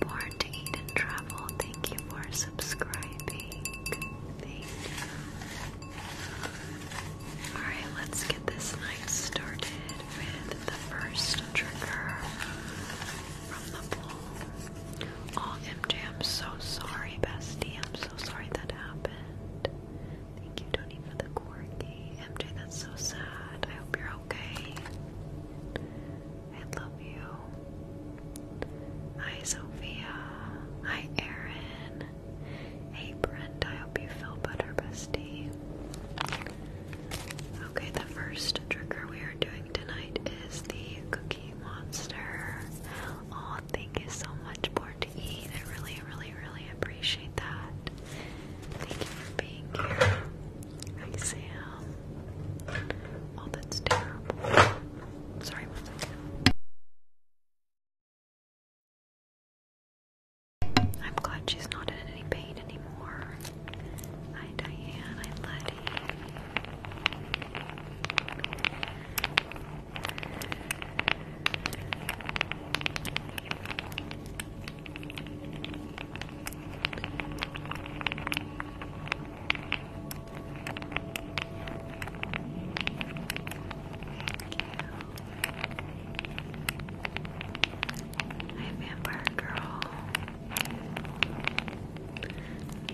Born to Eat and Travel, thank you for subscribing. Thank Alright, let's get this night started with the first trigger from the poll. Oh, MJ, I'm so sorry, bestie. I'm so sorry that happened. Thank you, Tony, for the corgi. MJ, that's so sad. I hope you're okay. I love you. Hi, Sophia. Hi, Erin. Hey, Brent. I hope you feel better, bestie. Okay, the first trigger we are doing tonight is the Cookie Monster. Oh, thank you so much, Born to Eat. I really, really, really appreciate that. Thank you for being here. Hi, Sam. Oh, that's terrible. Sorry, one second. I'm glad she's not in any pain anymore. Hi, Diane. Hi, Letty. Hi, vampire girl.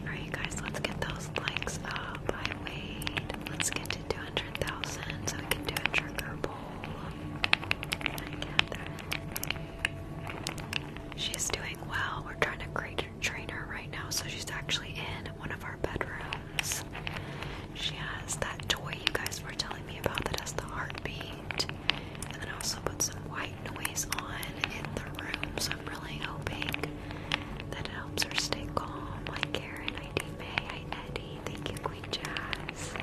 Alright, guys, let's get those likes up. I wait. Let's get to 200,000 so we can do a trigger poll. Hi, Catherine. She's doing well. We're trying to create a trainer right now, so she's actually in one of our bedrooms. She has that toy you guys were telling me about that has the heartbeat. And I also put some white noise on in the room, so I'm really hoping that it helps her stay calm. I care, and I D May, I Eddie, thank you, Queen Jazz.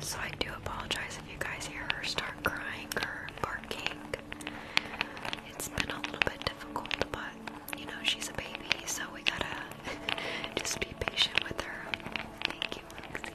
So I do apologize if you guys hear her start crying or barking. It's been a little bit difficult, but you know, she's a baby, so we gotta just be patient with her. Thank you, Lexi.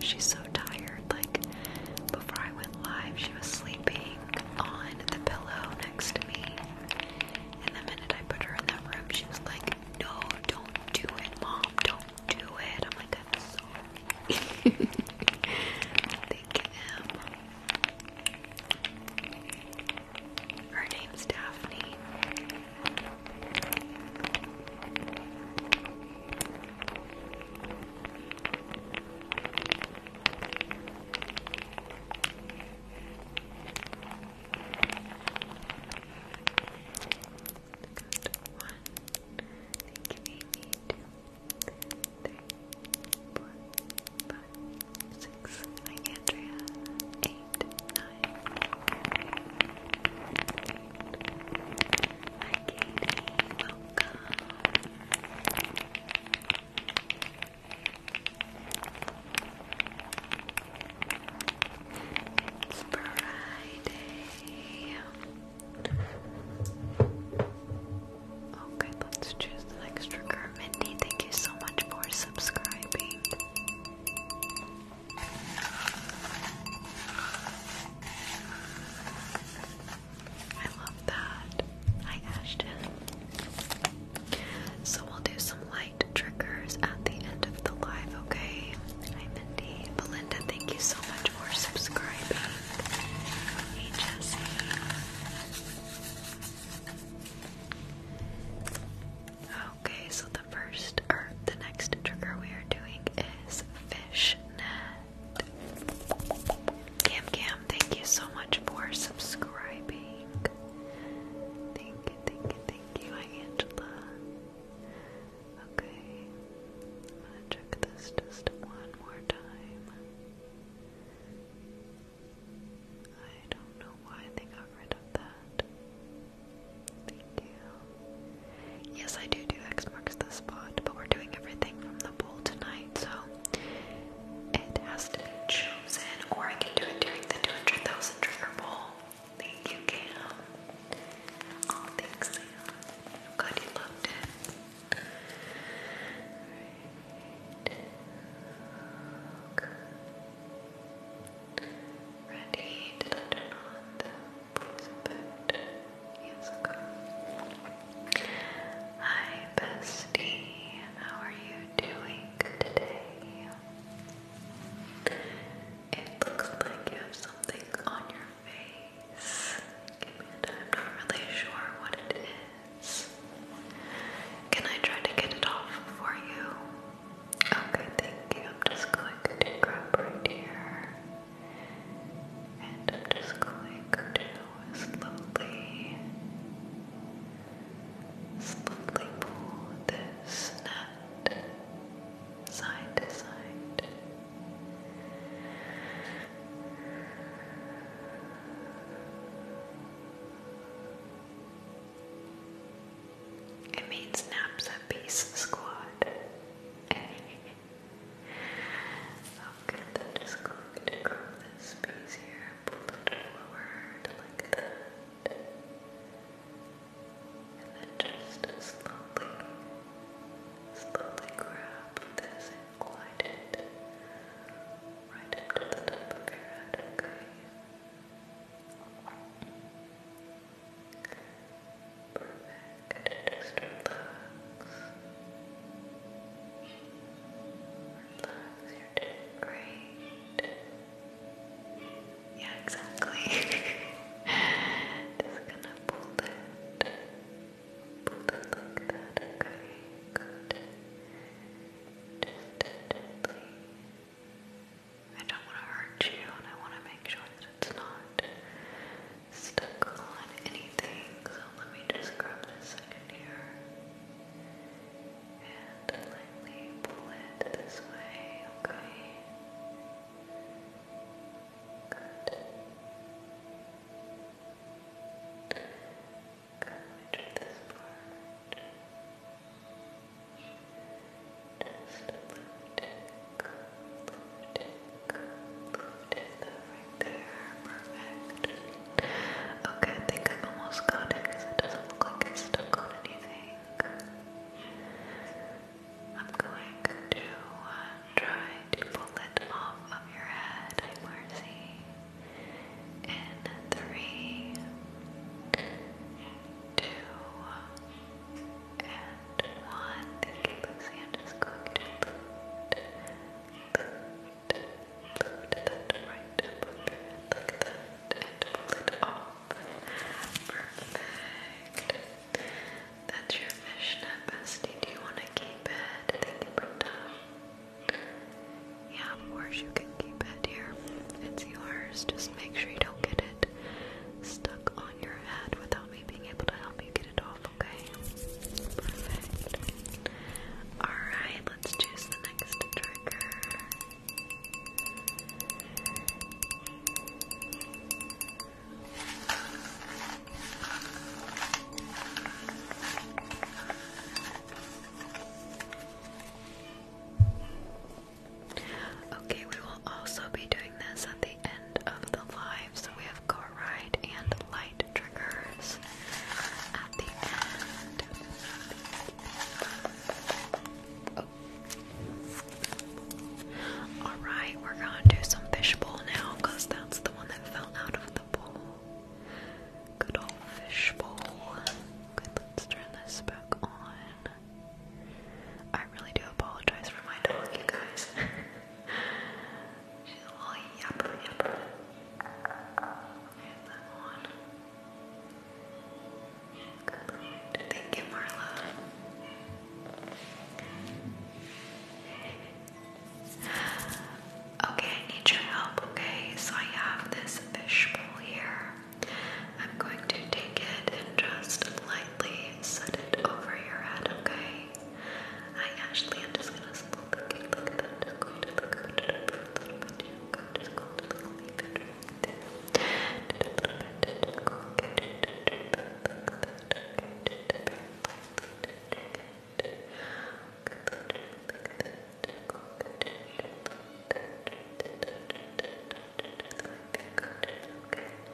She's so tired. Like, before I went live, she was sleeping on the pillow next to me. And the minute I put her in that room, she was like, No, don't do it, Mom. Don't do it. I'm like, I'm sorry. Thank you, Her name's Daphne. Thank you, Amy. Two, three, four, five, six. Hi, Andrea. Eight, nine, Okay, oh, let's choose the next trigger. Mindy, thank you so much for subscribing. I love that. Hi, Ashton. So we'll do some light triggers at the end of the live, okay? Hi, Mindy. Belinda, thank you so much for subscribing. Hey, Jesse. Oh, Okay, so the first or the next trigger we are doing is fishnet. Cam Cam, thank you so much for subscribing. Thank you, thank you, thank you, Angela. Okay, I'm gonna check this just one more time. I don't know why they got rid of that. Yes, I do do X marks the spot, but we're doing everything from the bowl tonight, so it has to be chosen, or I can do it during the 200,000 trigger bowl. Thank you, Cam. Oh, thanks, I'm glad you loved it. Right. Okay. Ready? Did I turn but Hi, bestie. How are you doing today? It looks like you have something on your face. Give a time. I'm not really sure what it is. Can I try to get it off for you? Okay, thank you. I'm just going to grab right here. And I'm just going to slowly, slowly pull this nut side to side. It means naps at peace squad. Okay, then just going to grab this space here, pull it forward like that. And then just slowly, slowly grab this and glide it right up the top of your head, Perfect. Just relax. Relax, you great. Yeah, exactly. Just gonna pull it. Pull it like that, okay? Good. I don't want to hurt you and I want to make sure that it's not stuck on anything, so let me just grab this second here and lightly pull it this way, okay? Good. Good, let this part. Just a little bit right there. Okay, I think I've almost got because it doesn't look like it's stuck on anything. I'm going to try to pull it off of your head. Hi, Marcy. In three, and one little Lucy I'm just going to boot, boot, boot that right up like that and pull it off perfect that's your fishnet bestie, do you want to keep it? yeah, of course you can keep it here. It's yours. Just make sure you don't get it stuck on your head without me being able to help you get it off okay? Perfect. Alright, let's choose the next trigger. Okay, we will also be doing this at the end of the live, so we have have ride and light triggers oh. Alright, we're gonna do some fishbowl now because that's the one that fell out of the bowl. Good old fishbowl. let's turn this back on. I really do apologize for my dog, you guys. She's a little yup, yup. There's Okay, I need your help, okay? So I have this fishbowl here. I'm going to take it and just lightly set it over your head, okay? Hi Ashley, I'm just gonna look at it, look at it, just going to look at it for a little bit. I'm just going to leave it right there. Just a little bit, just go get it, look at it, look at it. Okay.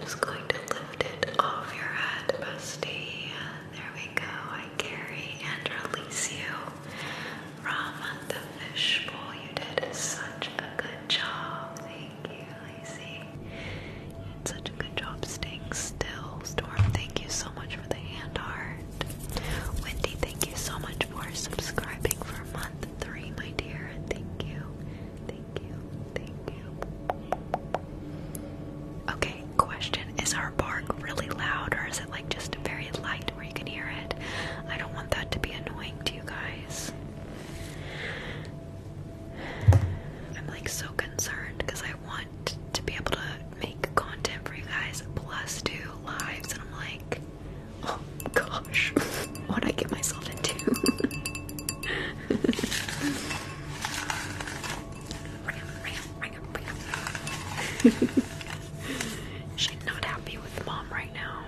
Just going to lift it off your head, bestie. There we go. I carry and release you from the fishbowl. You did such a good job. Thank you, Lacey. You did such a good job staying still. Storm, thank you so much for the hand art. Wendy, thank you so much for subscribing for month three, my dear. Thank you. Thank you. Thank you. Okay, question. Is our bark really loud or is it like just very light where you can hear it? I don't want that to be annoying to you guys. I'm like so concerned because I want to be able to make content for you guys plus do lives and I'm like, oh gosh. What'd I get myself into? She's not happy with mom right now.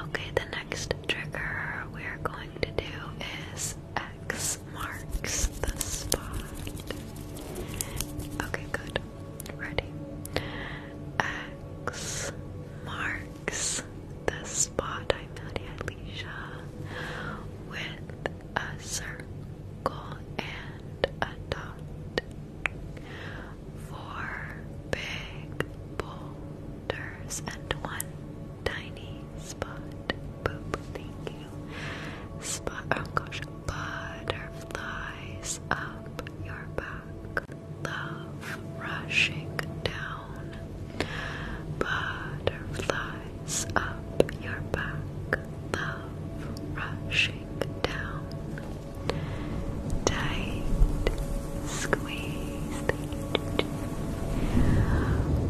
Okay, the next trigger we're going to do is X marks the spot. Okay, good. Ready? X marks the spot I met Alicia with a circle and a dot. Four big boulders and one tiny spot. Boop, thank you. Spot, oh gosh, butterflies up your back love rushing down, butterflies up your back, love rushing down. Tight squeeze,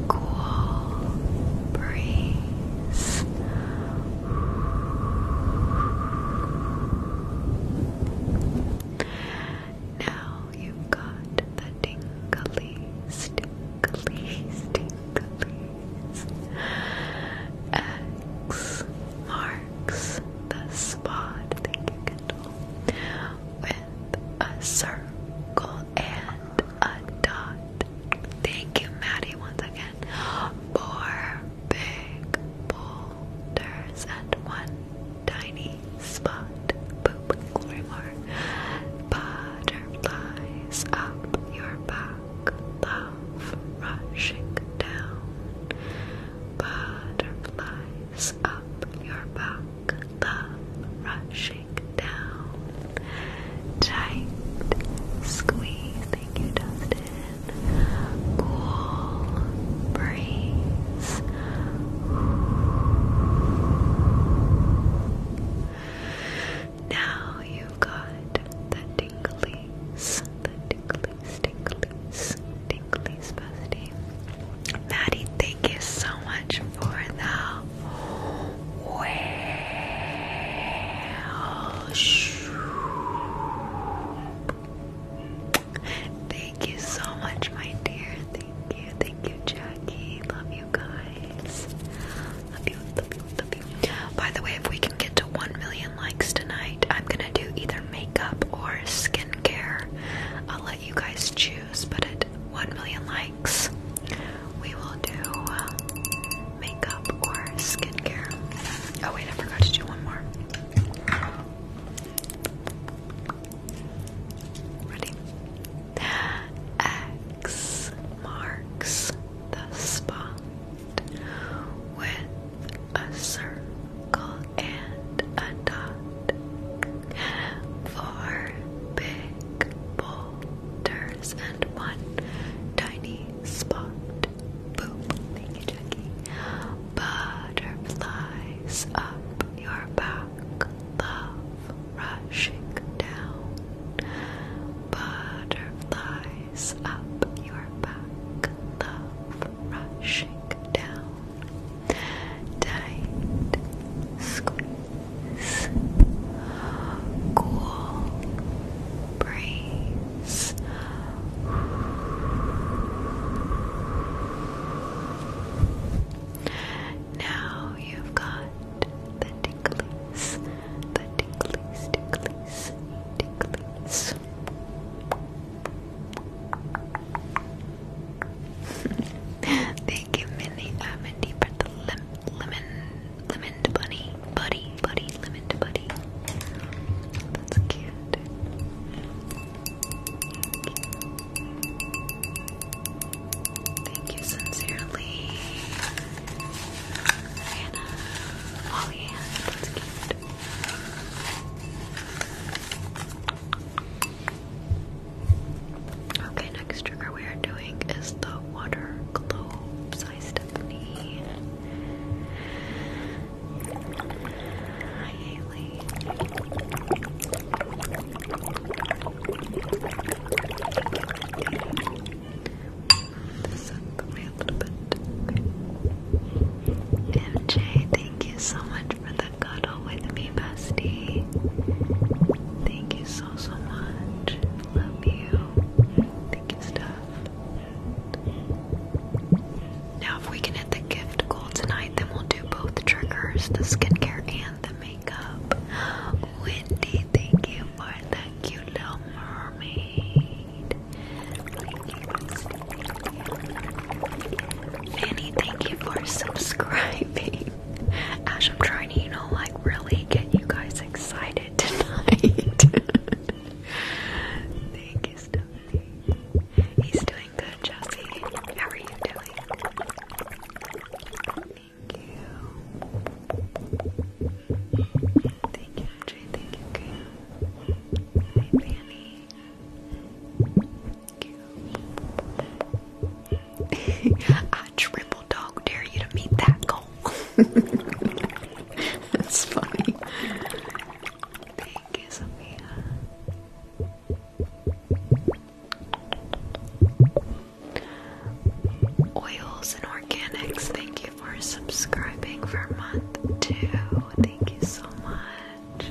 cool breeze. Now you've got the tinglies, tinglies, tinglies. X marks the spot, thank you, Kendall, with a circle and a dot. Thank you, Maddie, once again. Four big boulders and one tiny spot, poop glimmer, butterflies up your back, love rushing down, butterflies up your back, love rushing down, tight, squeezing you, Dustin, cool breeze now you got the tinglies, the tinglies, tinglies, tinglies, bestie. Maddie, thank you so much for the whale. Thank you so much, my dear. Thank you, thank you, Jackie. Love you guys. Love you, love you, love you. By the way, if we can get to 1 million likes tonight, I'm gonna do either makeup or skincare. I'll let you guys choose, but at 1 million likes, we will do uh, makeup or skincare. Oh, wait, I forgot to do one more. X marks the spot with a circle and a dot. Four big boulders and one tiny spot. Boom. Thank you, Jackie. Butterflies up your back love rushing down, butterflies up your back, love rushing down, tight squeeze, cool breeze. Now you've got the ticklies, the ticklies, ticklies, ticklies. Thank you, Mindy, uh, Mindy, for the lim lemon, lemon bunny, buddy, buddy, lemon buddy. That's cute. Thank you sincerely. Hannah. Oh yeah, that's cute. Okay, next trigger we are doing is the water globes. Hi Stephanie. MJ, thank you so much for the cuddle with me, bestie. Thank you so so much. Love you. Thank you, stuff. Now, if we can hit the gift practical tonight. Then we'll do both triggers, the skincare and the makeup. Wendy, thank you for the cute little mermaid. Fanny, thank you for subscribing. Ash, I'm trying to, you know, like really get you guys excited tonight. He's still good, Jesse. How are you doing? Thank you. Thank you, Andre. Thank you, Kim. Hi, Thank you. I triple dog dare you to meet that goal. That's funny. Thank you, Sophia. Oils and Organics, thank you for subscribing for month two. Thank you so much.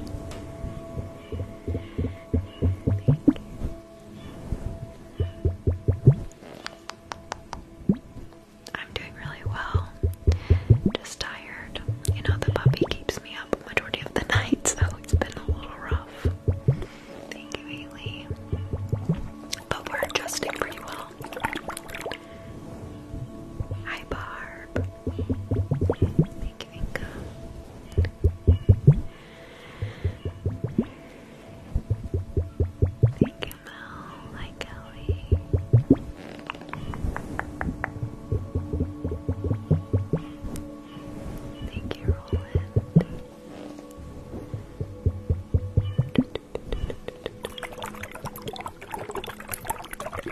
I'm doing really well. Just tired. You know, the puppy keeps me up majority of the nights, so it's been a little rough. But we're adjusting pretty well. Hi, Barb. Thank you, Inka. Thank you, Mel. Hi, Kelly. Thank you, Roland. Thank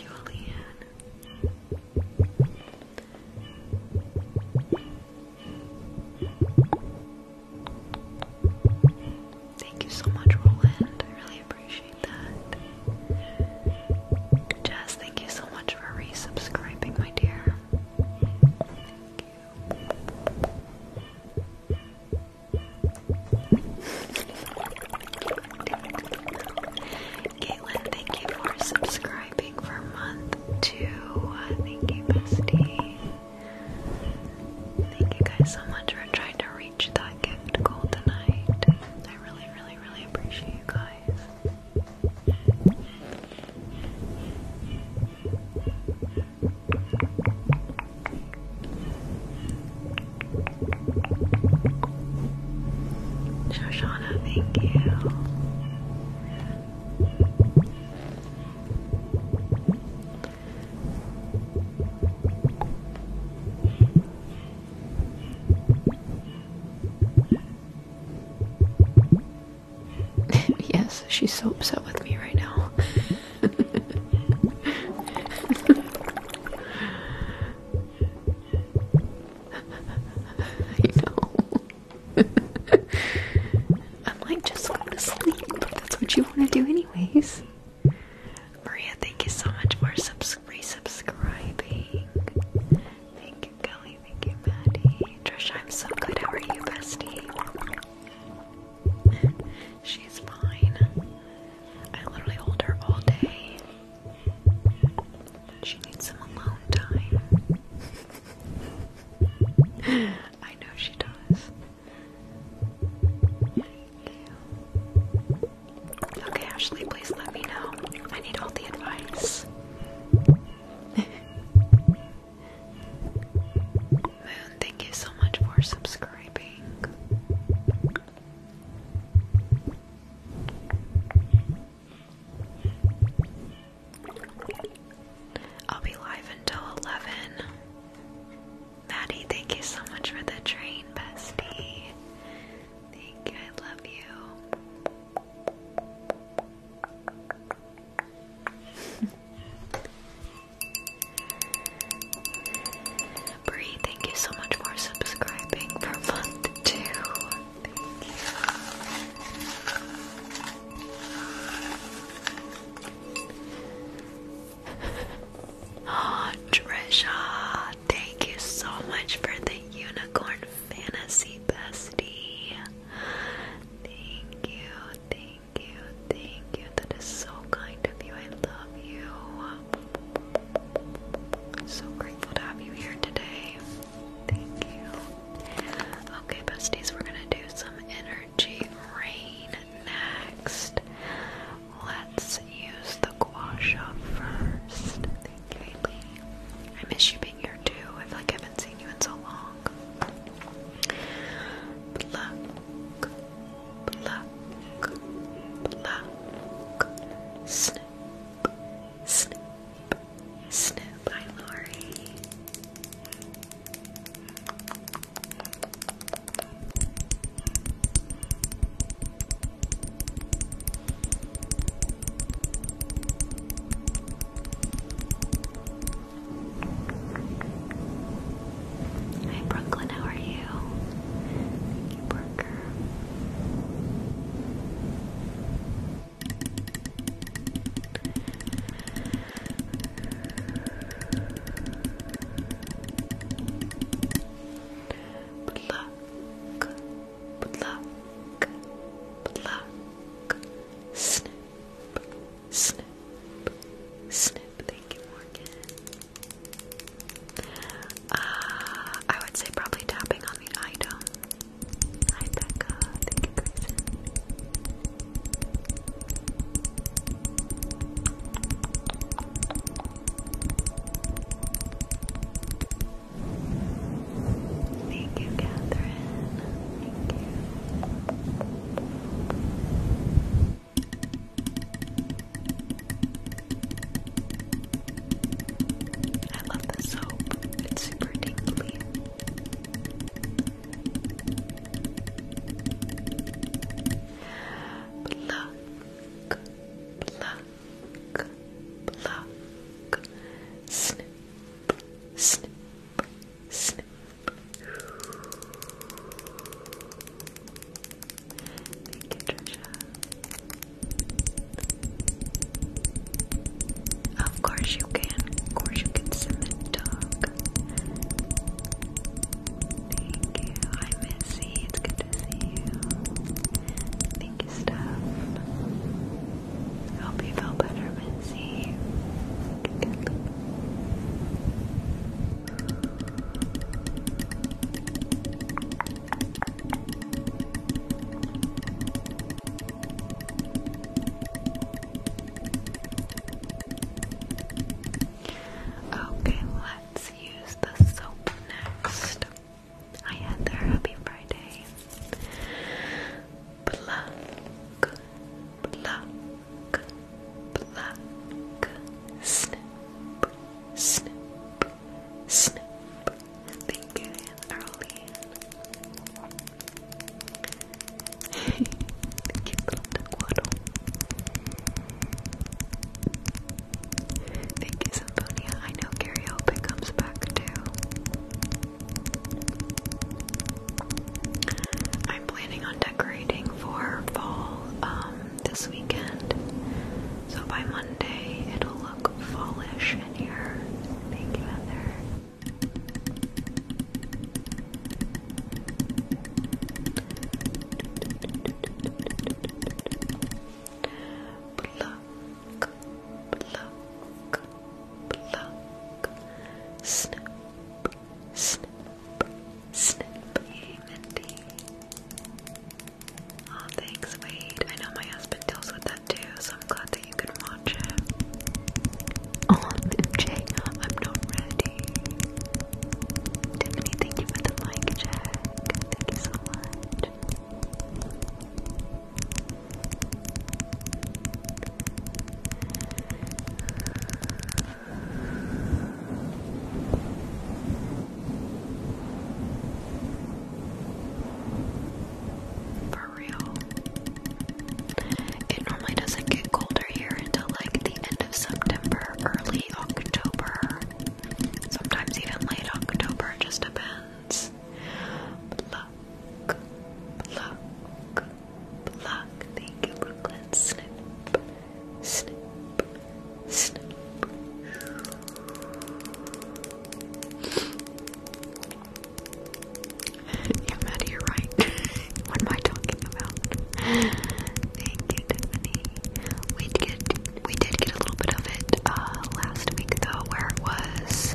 you, Leanne. Thank you so much, Roland. I really appreciate that. Jazz, thank you so much much for resubscribing, my dear. Thank you. Caitlin, thank you for subscribing for month two. Uh, thank you, Thank you guys so much for trying to reach that gift goal tonight. I really, really, really appreciate you guys. Shoshana, thank you. yes, she's so upset with me right now. I know. I'm just go to sleep. That's what you want to do, anyways. Maria, thank you so much for subs resubscribing. Kelly. Thank you, Maddie. Trisha, I'm so good. How are you, bestie? She's fine. I literally hold her all day. She needs some alone time. I know she does. Okay, Ashley, please let me know. I need all the advice. Moon, thank you so much for subscribing. I'll be live until 11. Maddie, thank you so much for the train, bestie. Thank you, I love you. Bree, thank you so much for subscribing for month two. Thank ah, Trisha, thank you so much for the unicorn Fantasy Bestie. Thank you, thank you, thank you. That is so kind of you. I love you. So grateful to have you here today. Thank you. Okay, besties, we're gonna do some energy rain next. Let's use the gua sha first. I miss you, baby saying you I feel like I haven't seen you in so long. Pluck, pluck, pluck. Snip, snip, snip. Hi, Lori. Hi Brooklyn, how are you? Thank you, Parker. Pluck, pluck, pluck, snip, snip, snip. Thank you, Morgan. Uh, I would say probably tapping on the item. Hi, Becca. Thank you, Thank you, Catherine. Thank you. I love the soap. It's super tingly. Pluck, pluck, pluck. Snip, snip, snip. Thank you, Trisha. Of course you can. Of course you can submit dog. Thank you. Hi Missy. It's good to see you. Thank you, Steph. Hope you feel better, Missy. Okay, let's use the soap next. Hi, Heather. Happy Friday. Pluck, pluck, pluck. Snip, snip, snip. Thank you, Arlene. Thank you, Belinda Quaddle. Thank you, Symphonia. I know karaoke comes back too. I'm planning on decorating for fall um, this weekend, so by Monday it'll look fallish in here. Thank you, Heather. Pluck, pluck, pluck, snip, snip, snip, yay Mindy. oh, thanks, Wade. I know my husband deals with that too, so I'm glad that you can watch it. Oh, MJ, I'm not ready. Tiffany, thank you for the mic check. Thank you so much. For real. It normally doesn't get colder here until like the end of September, early October. Sometimes even late October, just depends. Thank you, Brooklyn. Snip, snip, snip. you met you're right. what am I talking about? We did get a little bit of it last week though, where it was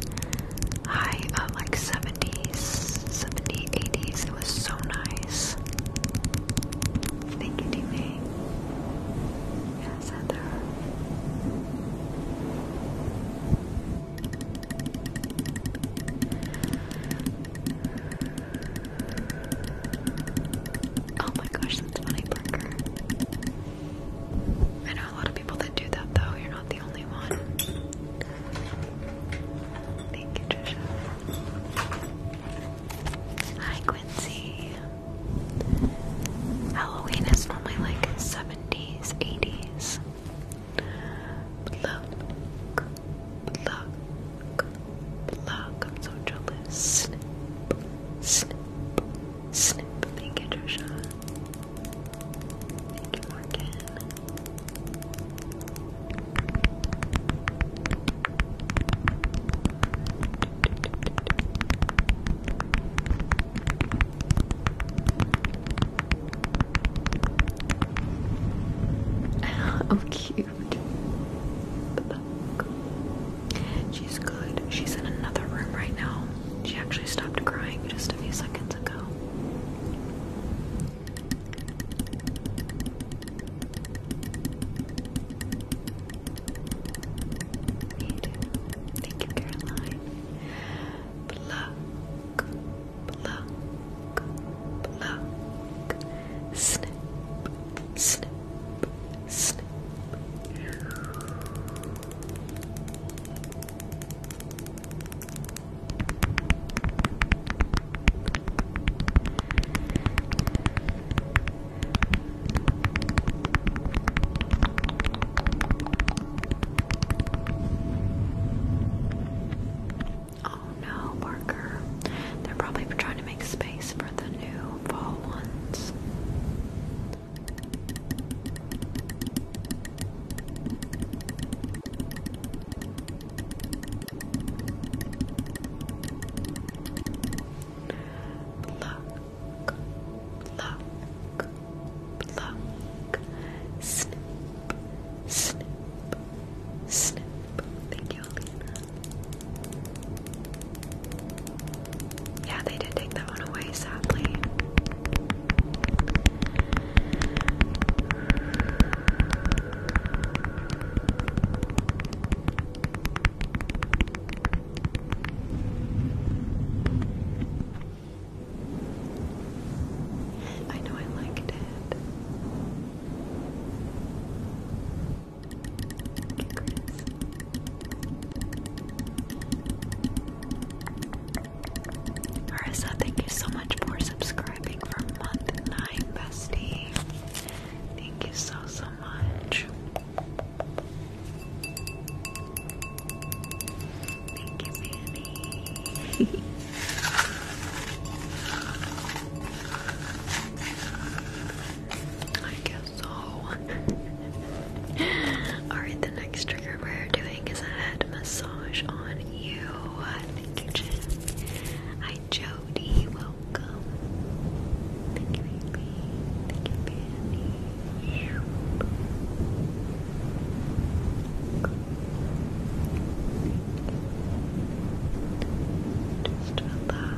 high like 70s, 70, 80s. It was so nice. Thank you, Dime. Yes, Heather. Oh my gosh, that's funny, Parker. I know a lot of people that do that though. You're not the Thank you, Hi, Quincy. Halloween is normally like 70s, 80s. Look, look, look. I'm so jealous. Snip, snip, snip. Thank you, Trisha. oh, cute. She's good. She's in another room right now. She actually stopped crying just a few seconds ago. Thank you, Caroline. Pluck, pluck, pluck. Snip, snip, snip. Oh no, Parker. They're probably trying to make space for the new fall ones. Pluck, pluck, pluck. Snip, snip, snip. Thank you, Yeah, they did take that one away, sadly. I know I liked it. Okay, Chris. Marissa, thank you so much for subscribing for month nine, bestie. Thank you so so much. Thank you, Manny. I guess so. Alright, the next trigger we're doing is a head massage on you. Thank Hi Jody, welcome. Thank you, baby. Thank you, Fanny. Just Relax.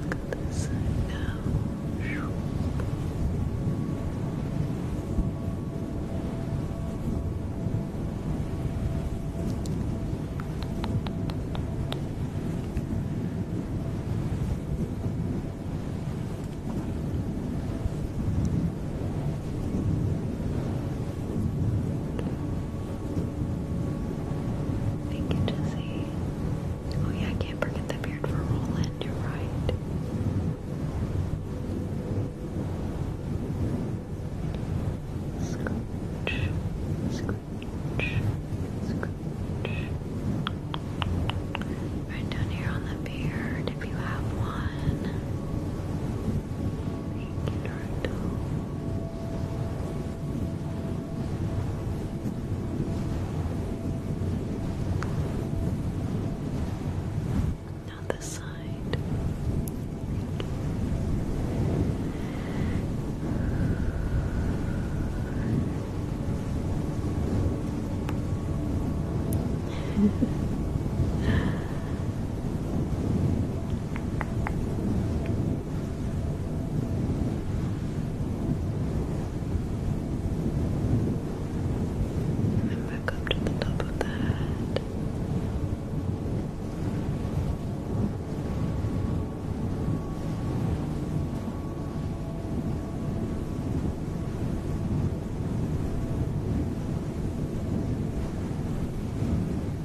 Look at this side now. Good. Thank you, Jesse. Oh yeah, I can't forget the beard for Roland, you're right. Scooch, scooch, scooch. Right down here on the beard if you have one. Now this side. And then back up to the top of the head. And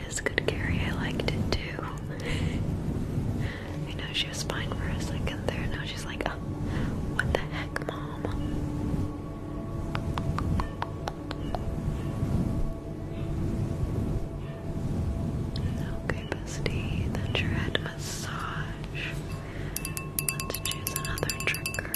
it is good, Carrie. I liked it too. You know she was fine for a second there. Now she's like, oh, what the heck, mom? Okay, bestie, that's your head massage. Let's choose another trigger.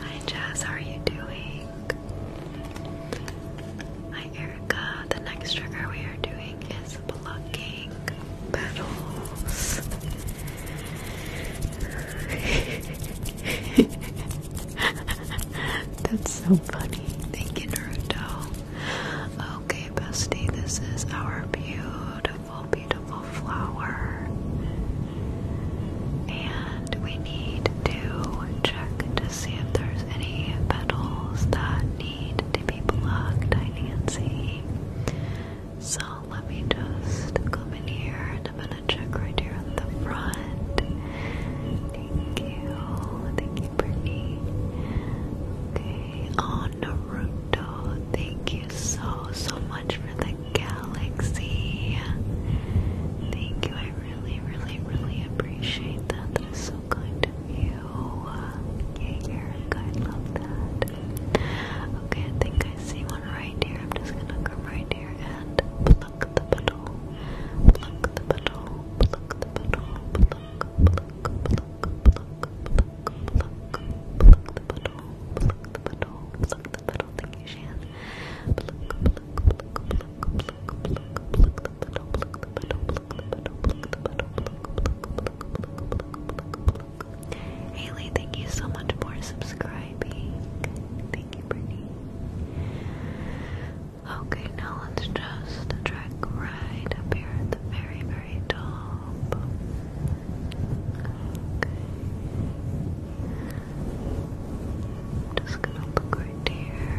Hi Jazz, how are you doing? Hi Erica, the next trigger we are doing is plucking petals. That's so funny. Thank you, Naruto. Okay, bestie, this is our beautiful beautiful, beautiful flower. And we need to check to see if there's any petals that need to be blocked, I Nancy. So let me just come in here and I'm gonna check right here at the front. Thank you. Thank you, Brittany. Okay. Oh Naruto, thank you so, so much for the galaxy. Thank you, I really, really, really appreciate that. That is so kind of you. Yeah, you're good, love that. Okay, I think I see one right here. I'm just gonna come right here and pluck the petal. Pluck the petal, pluck the petal, pluck, pluck, pluck, pluck, pluck, pluck, pluck, pluck the petal petal, thank you, so much for subscribing. Thank you, Brittany. Okay, now let's just track right up very, very top. Okay. Just gonna look right here.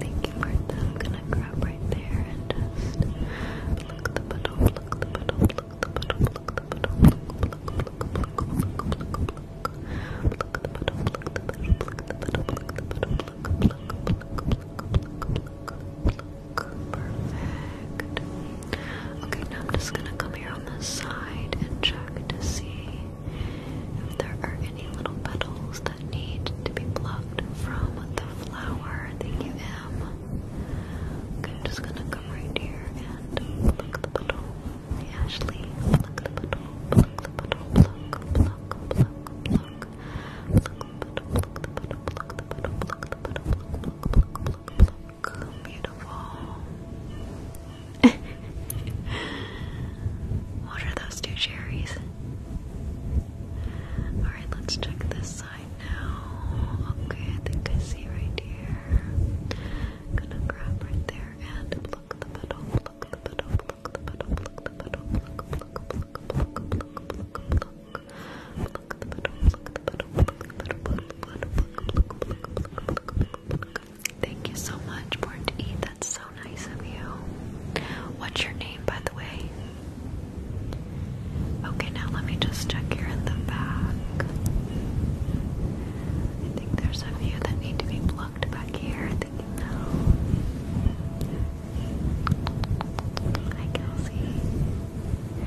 Thank you, Martha. I'm gonna grab right there and just look the bottom, look the bottom, look the bottom, look the bottom, look, look, look, look, look, look, look, look. Pluck the bottom, pluck the bottom, pluck the bottom, pluck the bottom, pluck, pluck, pluck, pluck, pluck, pluck, look, perfect. Okay, now I'm just gonna come here on the side and check to see if there are any little petals that need to be plucked from the flower. Thank you, M. Okay, I'm just gonna come right here and pluck the petal. Ashley, pluck the petal, pluck the petal, pluck, pluck, pluck, pluck. Beautiful. what are those two cherries? Alright, let's check this side now. Okay, I think I see right here. Gonna grab right there and pluck the petal, pluck the petal, pluck the petal, pluck the petal, pluck, pluck, pluck, pluck, pluck, pluck, pluck, pluck. Thank you so much, Born to Eat. That's so nice of you. What's your name, by the way? Okay, now let me just check here in the back. I think there's a few that need to be plucked back here. I think Hi, Kelsey.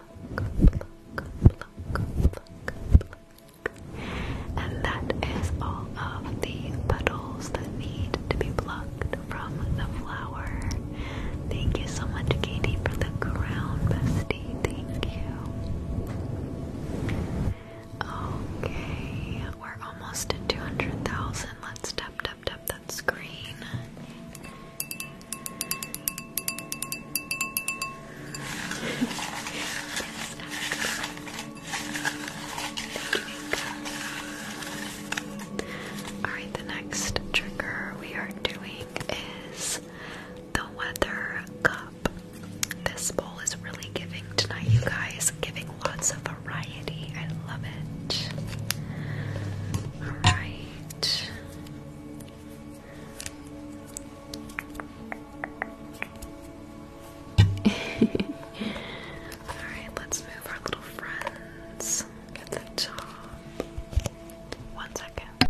and that is all of the petals that need to be plucked from the flower. Thank you so much, Katie, for the crown, bestie. Thank you. Okay, we're almost at 200,000. Let's tap, tap, tap that screen. Alright, the next trigger we are doing is the weather cup. This bowl is really giving tonight, you guys, giving lots of variety. I love it. Alright. Alright, let's move our little friends. Get the top. One second.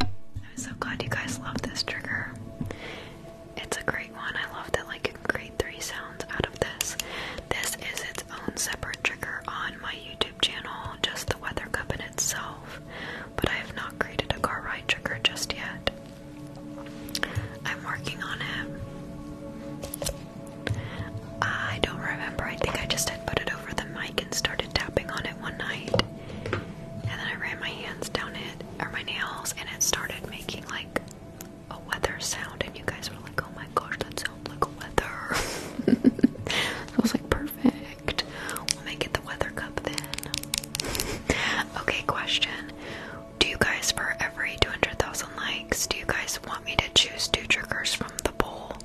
I'm so glad you guys love this trigger. It's a great one. I love that like you can create three sounds out of this. This is its own separate trigger on my YouTube channel, just the weather cup in itself. But I have not created a car ride trigger just yet. I'm working on it. I don't remember. I think I just had put it over the mic and started tapping on it one night. And then I ran my hands down it, or my nails, and it started making like a weather sound. And you guys were like, oh my gosh, that sounds like a weather. It was like, perfect. We'll make it the weather cup then. okay, question. Do you guys, for every 200,000 likes, do you guys want me to choose two triggers from the bowl,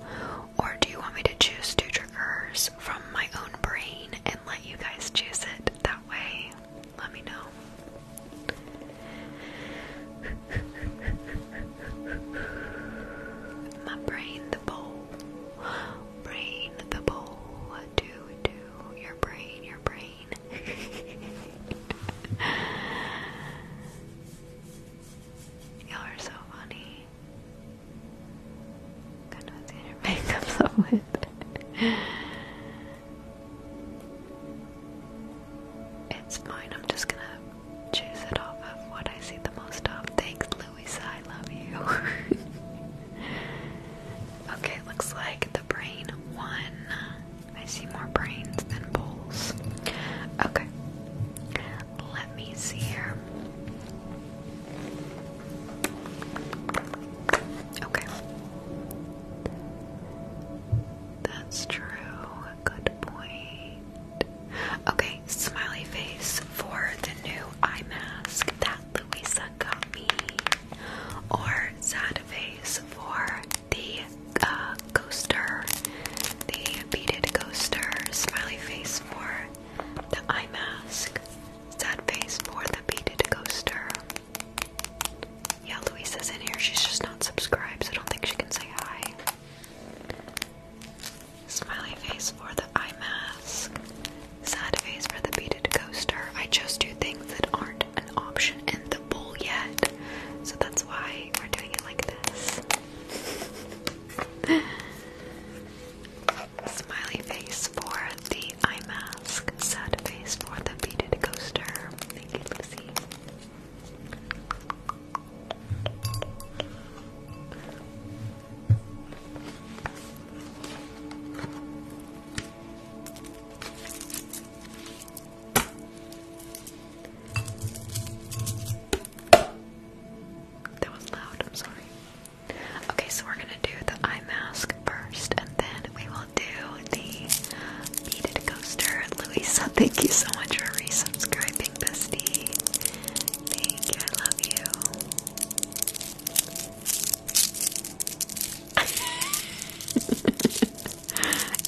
Or do you want me to choose two triggers from my own brain and let you guys choose it that way? Let me know. My brain, the bowl. Brain, the bowl. Do, do. Your brain, your brain. Y'all are so funny. God knows what your makeup up It's fine, I'm just gonna choose it off of what I see the most of. Thanks, Louisa, I love you. okay, looks like the brain won. I see more brains than bowls. Okay, let me see here. Okay. That's true. Good point. Okay, smiley face for the new eye mask that Louisa got me. Or sad face for the uh, coaster, the beaded coaster. Smiley face for the eye mask. Sad face for the beaded coaster. Yeah, Louisa's in here. She's just not subscribed, so I don't think she can say hi. Smiley face for the eye mask. Sad face for the beaded coaster. I just do things that aren't an option in the bowl yet, so that's why we're doing it like this. Smiley face for the eye mask mask, sad face for the beaded coaster. Thank you, Lucy. That was loud, I'm sorry. Okay, so we're gonna do the eye mask first, and then we will do the beaded coaster. Louisa, thank you so much for resubscribing, bestie. Thank you, I love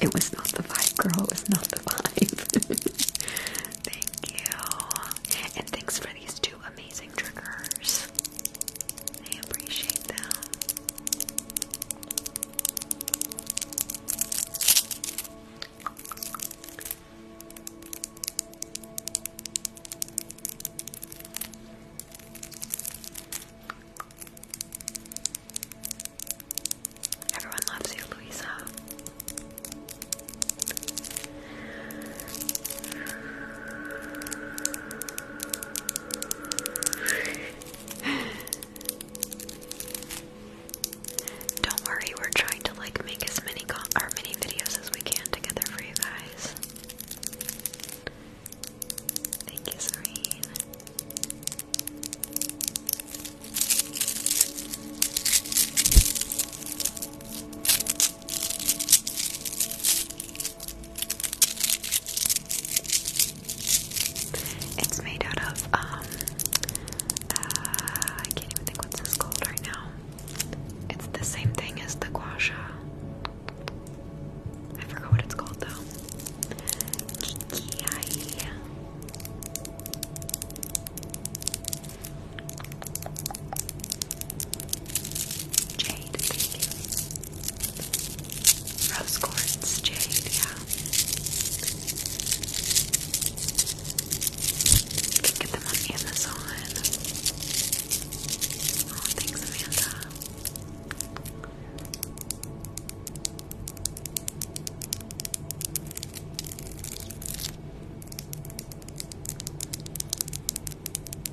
you. it was not the vibe, girl. It was not the vibe. thank you. And thanks for these two amazing triggers. I appreciate that. Everyone loves you, Louisa. Don't worry, we're trying to like make as many con or videos as we can together for you guys. Thank you, Serene. It's made out of, um, uh, I can't even think what's this called right now. It's the same thing as the gua I forgot what it's called though. Jade, Rose quartz jade, yeah. can get them on Amazon. Oh, thanks, Amanda.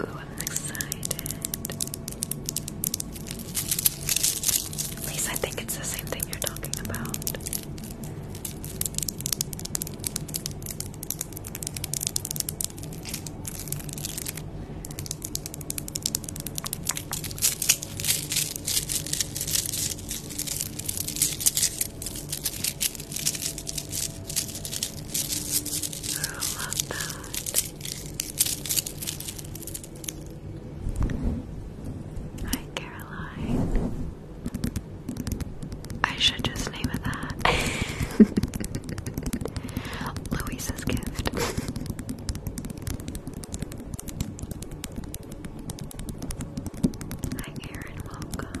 Ooh, I'm excited. Lisa, I think it's the same thing you're talking about love that. Hi, Caroline. I should just name it that. Louisa's gift. Hi, Aaron. Welcome.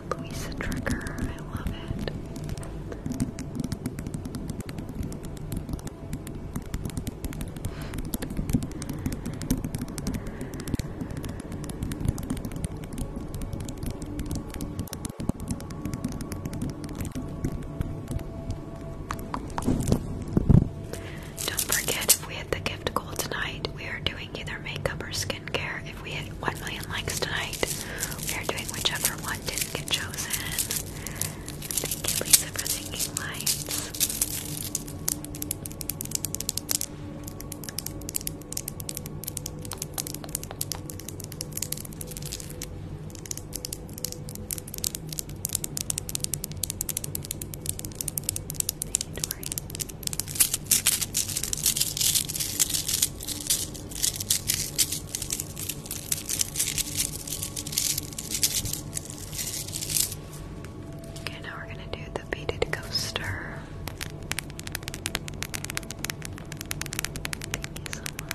Louisa trigger. I love it. Don't forget if we hit the gift goal tonight, we are doing either makeup or skin skincare. If we hit 1 million likes tonight, we are doing whichever one didn't get chosen. Thank you, Lisa, for thinking lights. Thank you, Dory. Okay, now we're going to do the beaded coaster. Thank you so much.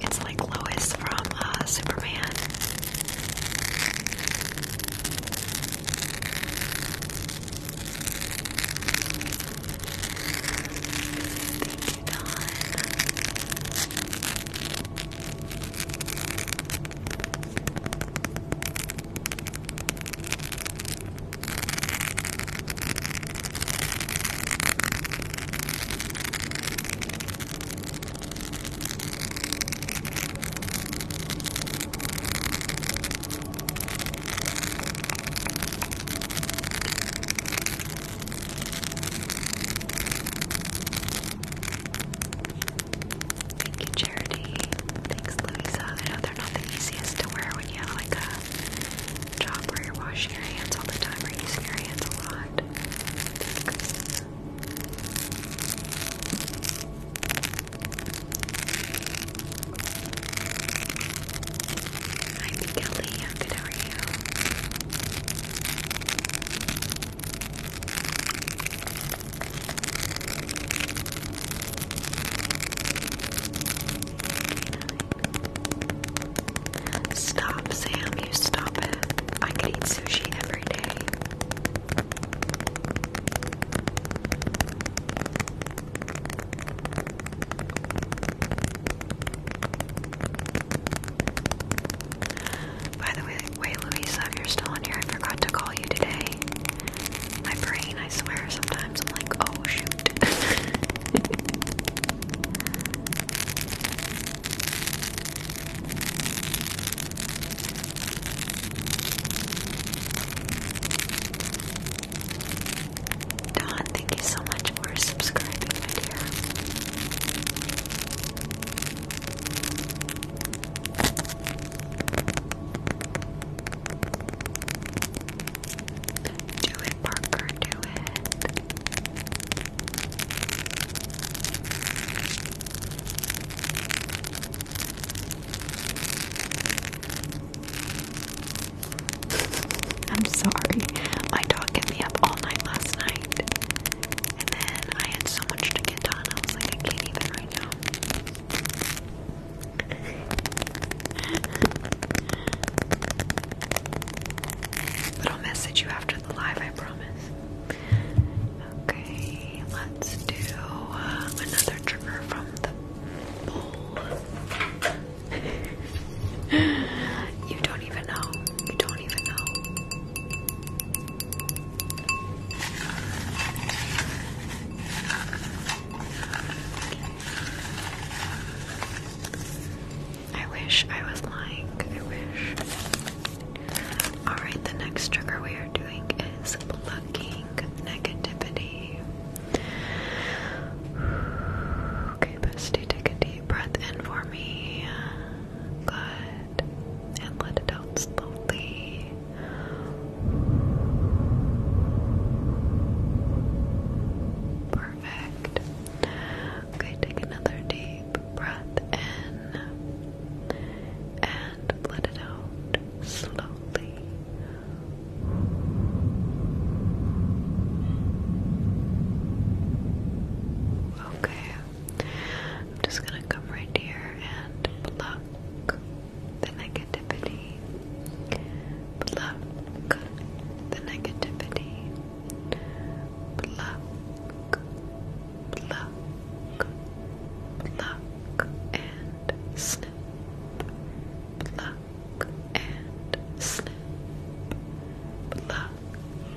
It's like Lois from uh, Superman. Thank you, Charity. Thanks, Louisa. I know they're not the easiest to wear when you have like a job where you're washing your hands all the time or using your hands a lot. Hi, Kelly. How good are you? Stop, Sam, you stop it. I could eat sushi every day. By the way, wait, Louisa, you're still on here, I forgot to call you today. My brain, I swear, sometimes. I'm like, oh shoot. Don, thank you so much for subscribing, my dear. Do it, Parker, do it. I'm sorry. My dog kept me up all night last night. And then I had so much to get done. I was like, I can't even right now. But I'll message you after the live, I promise. Okay, let's do uh, another trigger from the bowl. you don't even know. You don't even know. I wish I was lying. I wish. Alright, the next trigger we are doing is plucking negativity. Okay, bestie, take a deep breath in for me. Good. And let it out slowly. Perfect. Okay, take another deep breath in and let it out slowly. Okay, I'm just gonna come right here and block the negativity pluck the negativity, pluck, pluck, pluck, and snip, pluck, and snip, pluck,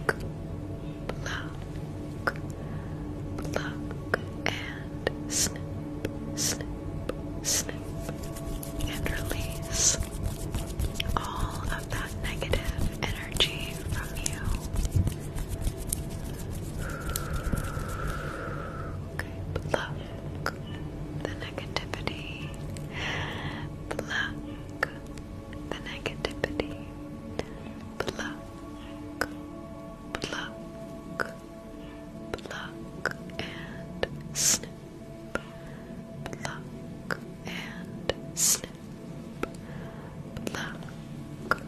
pluck, pluck, and snip, snip, snip and release all of that negative energy from you. Okay, the negativity, pluck the negativity, pluck, pluck, pluck, and snip pluck and snip, pluck, pluck,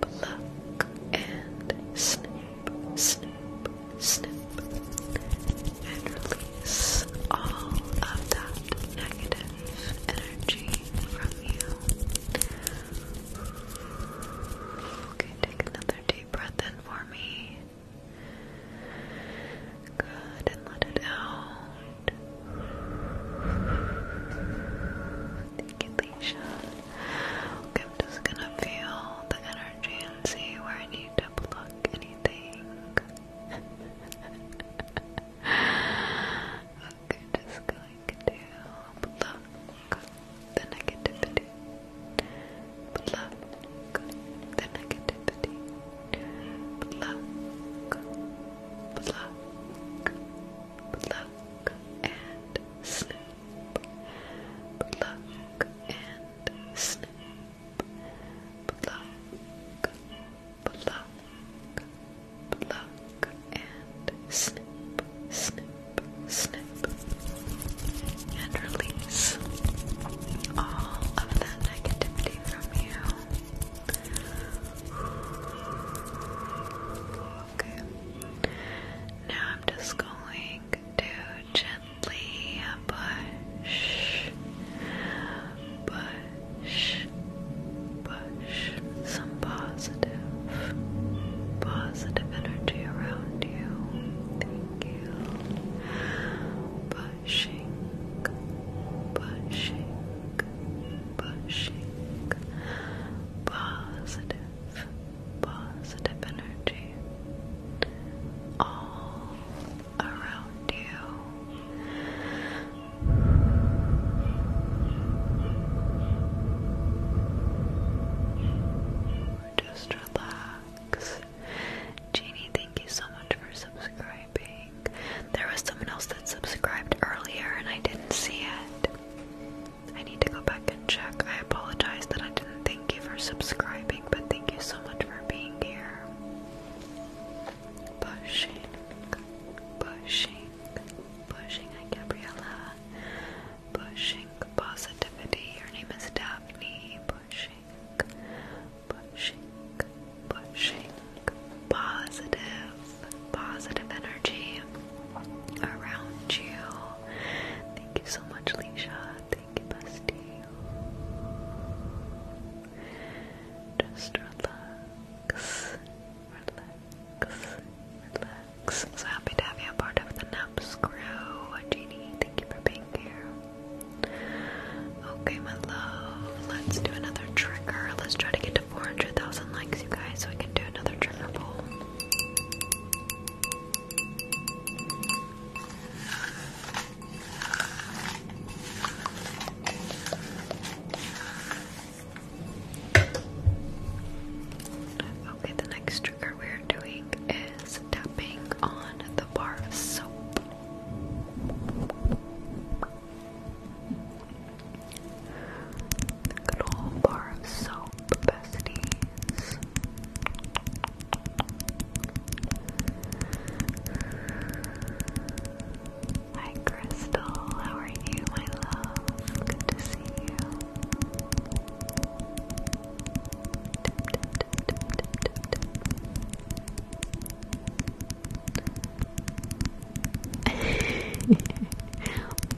pluck and snip, snip, snip, and release all of that negative energy from you. Okay, take another deep breath in for me. Good, and let it out. Thank you, Okay, I'm just gonna feel the energy and see where I need to block anything. okay, just going to pluck the negativity. Pluck the negativity. Pluck, pluck, pluck and snip. Pluck and snip. Pluck, pluck, pluck and snip, snip, snip and release all of that negativity from you. Okay. Now I'm just going to gently push, push, push some positive, positive energy around you. Pushing, pushing, pushing. Positive, positive energy all around you. Just relax, Jeannie, thank you so much for subscribing. There was someone else that subscribed earlier and I didn't see it. I need to go back and check. I apologize that I didn't thank you for subscribing, but thank you so much for being here. Pushing, pushing, pushing Gabriella. Pushing positivity. Your name is Daphne. Pushing, pushing, pushing positive, positive energy around you. Thank you so much, Leisha. Thank you, Bestie. Just relax, relax, relax. So happy to have you part of the Nub Jeannie, thank you for being here. Okay, my love. Let's do another trigger. Let's try to get to 400,000 likes, you guys, so we can do another trigger ball. Okay, the next trigger we're doing is tapping on the bar of soap. Good old bar of soap, besties. Hi, Crystal. How are you, my love? Good to see you.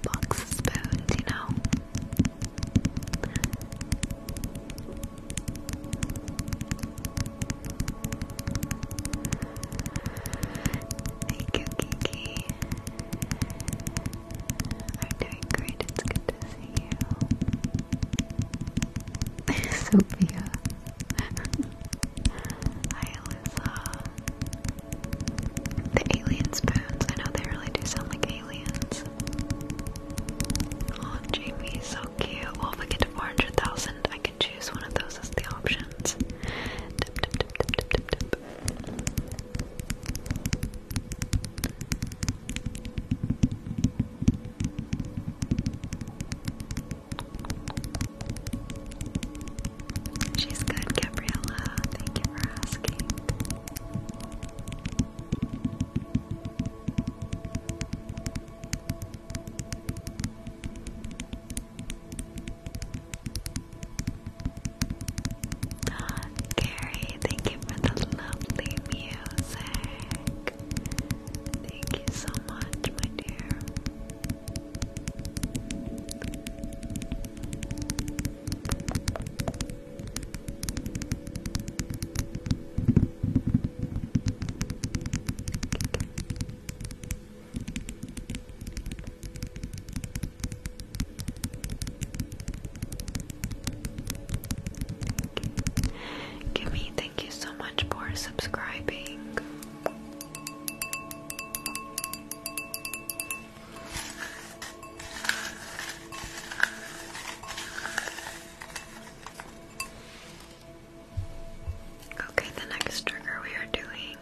Box of spoons, you know. Thank Kiki. I'm doing great. It's good Sophia. Hi, Alyssa. The alien spoons. I know they really do sound like aliens. Oh, Jamie's so cute. if I get to 400,000, I can choose one of those as the options. She's good, Gabriella. Thank you for asking. Gary, thank you for the lovely music. Thank you so much, my dear. Give me Thank you so much for subscribing. Okay, the next trigger we are doing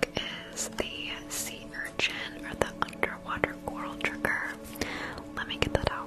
is the sea urchin or the underwater coral trigger. Let me get that out.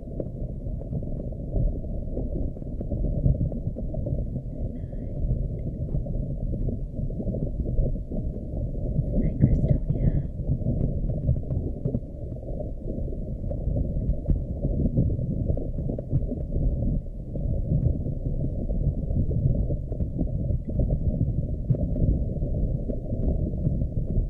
Hi, Christonia. Hi,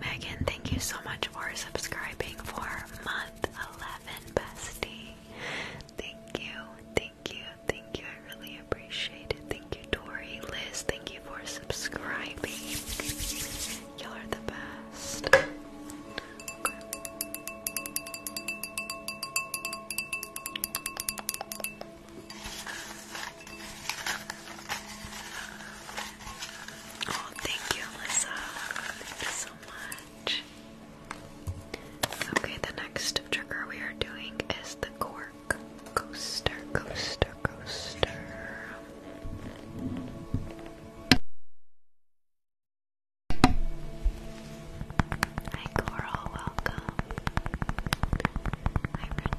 Megan, thank you so much for subscribing for month 11, bestie. Thank you, thank you, thank you. I really appreciate it. Thank you, Tori. Liz, thank you for subscribing. Y'all are the best. Oh, thank you, Alyssa. Thank you so much. Okay, the next trigger we are doing is the cork coaster, coaster, coaster. Hi Coral, welcome. Hi Renee.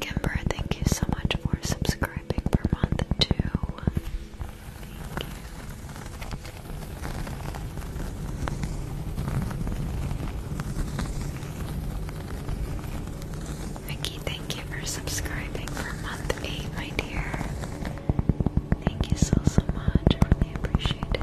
Kimber, thank you so much for subscribing for month two. Vicky, thank you for subscribing for month eight, my dear. Thank you so so much. I really appreciate it.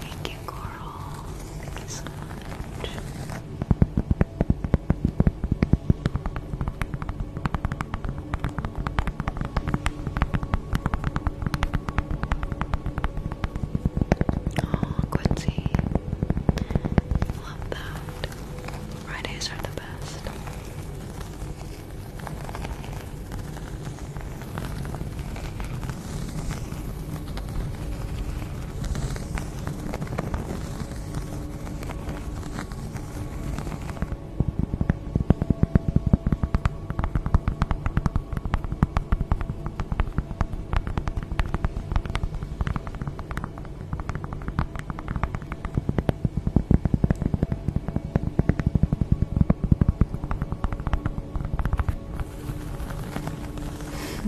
Thank you, Coral. Thank you so much. Oh, Quincy. Love that. Fridays are the best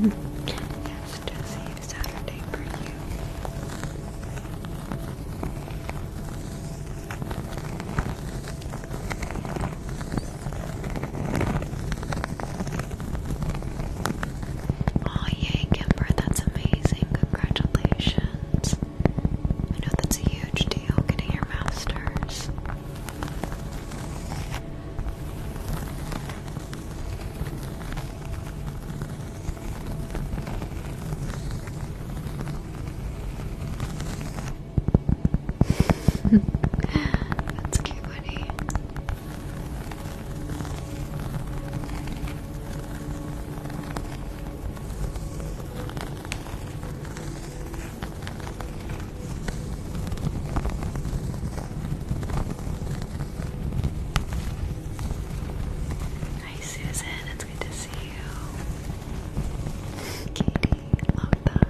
yes, Jesse, Saturday for you. Oh, yay, Kimber, that's amazing. Congratulations. I know that's a huge deal getting your masters. That's cute, buddy. Hi Susan, it's good to see you. Katie, love that.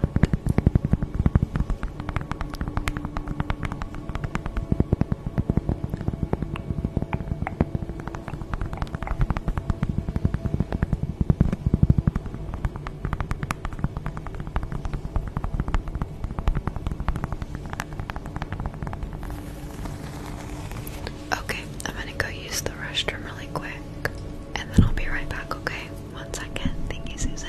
Okay, I'm gonna go use the restroom really quick and then I'll be right back, okay? One second. Thank you, Susan.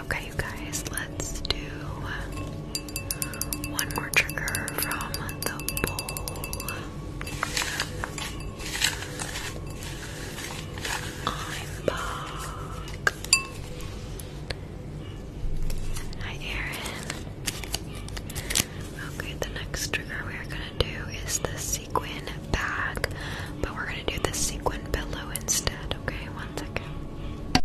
Okay, you guys, let's do one more trigger from the bowl. I'm back. Hi, Erin. Okay, the next trigger we are gonna do is the sequin bag, but we're gonna do the sequin pillow instead. Okay, one second.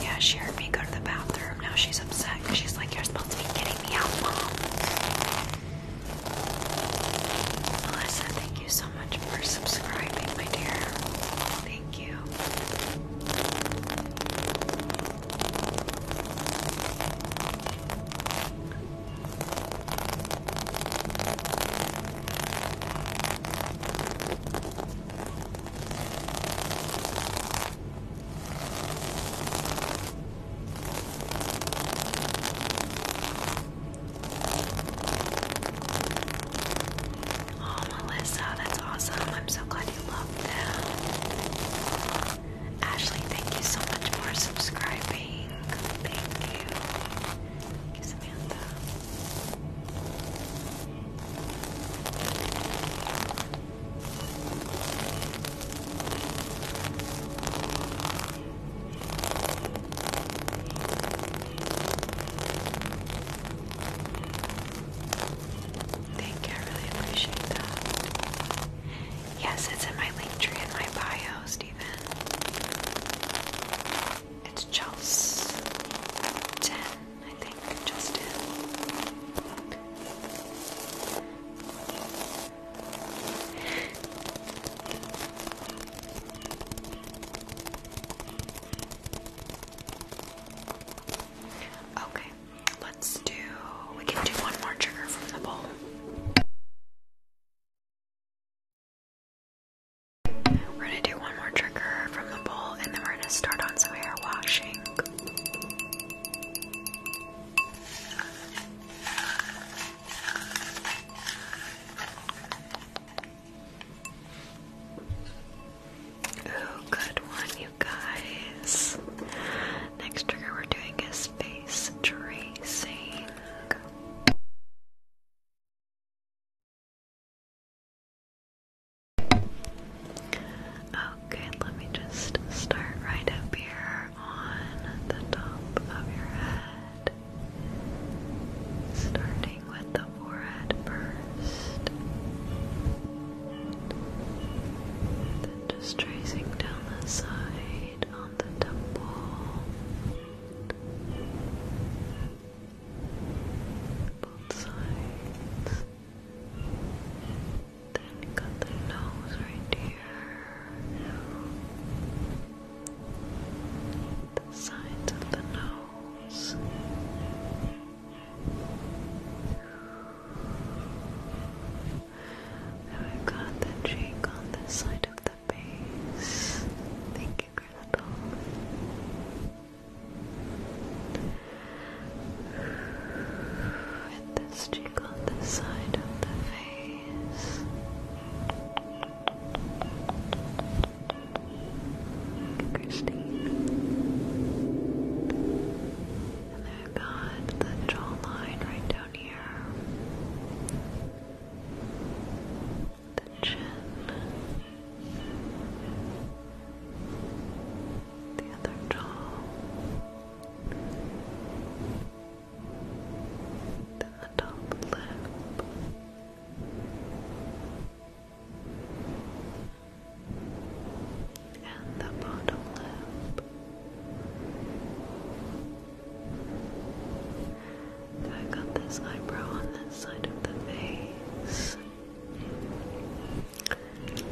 Yeah, she heard me go to the bathroom now. She's upset because she's like, You're supposed to be getting me out, Mom. Melissa, thank you so much for subscribing, my dear. Thank you. Oh, Melissa, that's awesome. I'm so glad you love them. Ashley, thank you so much for subscribing. Thank you, Samantha. Thank you, I really appreciate that. Yes, it's in my link tree in my bio, Stephen. It's Chels I think, Justin. Okay, let's do. We can do one more trigger from the bowl. We're gonna do one more trigger from the bowl and then we're gonna start on some hair washing. Oh, good one, you guys. Next trigger we're doing is space tracing. Okay, let me just start right up here on the top of your head. Starting with the forehead first. Then just tracing down the side on the temple. Both sides. Then you got the nose right here. The sides of the nose. Now i got the cheek on this side of the base. Thank you, Crystal with this cheek on the side of the face. And I've got the jawline right down here. The chin. The other jaw the top lip. And the bottom lip. I got this eyebrow on this side of the face, and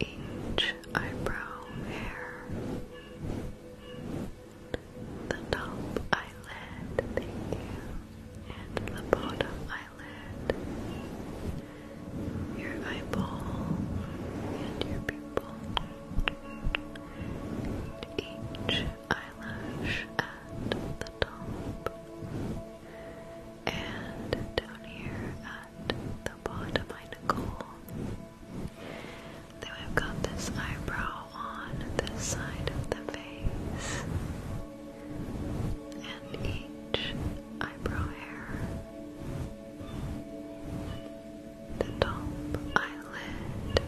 each eyebrow hair the top eyelid, thank you, and the bottom eyelid, your eyeball, and your pupil, and each eyelash at the top, and down here at the bottom, I Nicole. Then we've got this eyebrow on this side of the face, and each eyebrow hair, the top eyelid,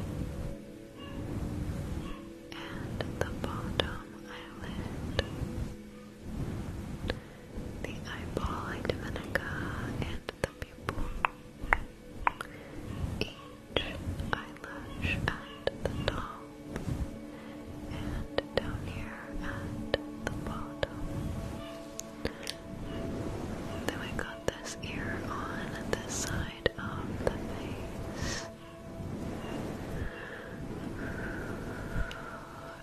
and the bottom eyelid. The eyeball, like Dominica, and the pupil each eyelash at the top and down here at the bottom. Then we got this ear on this side of the face.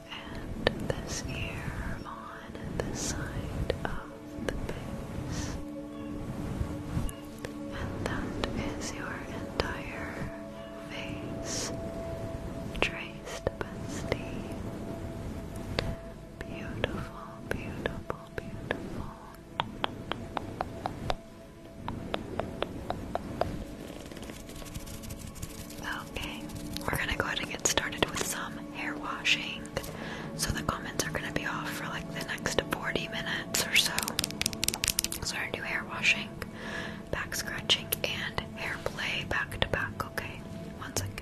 And this ear on the side of the base. And that is your entire face traced, bestie. Beautiful, beautiful, beautiful. Okay, we're gonna go ahead and get started with some hair washing. So the comments are gonna be off for like the next 40 minutes or so. So we're gonna do hair washing, back scratching, and hair play back to back, okay? One second.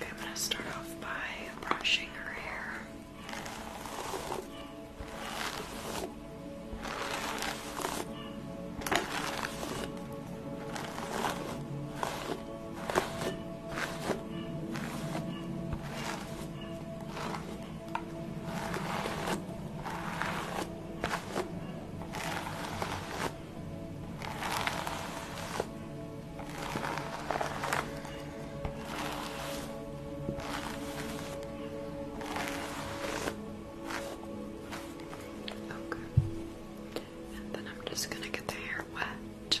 I'm gonna start off by brushing her hair. Okay. And then I'm just gonna get the hair wet.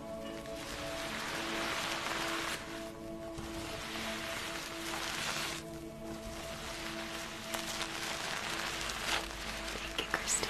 Thank you, Christine.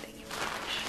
Thank you much.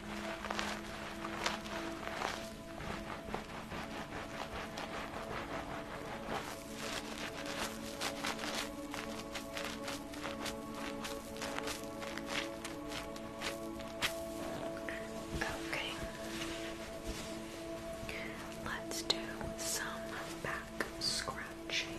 Okay. Let's do some back scratching.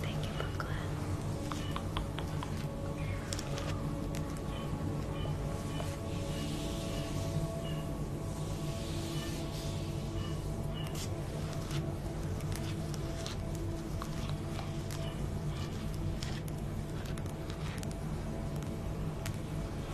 Thank you, Brooklyn.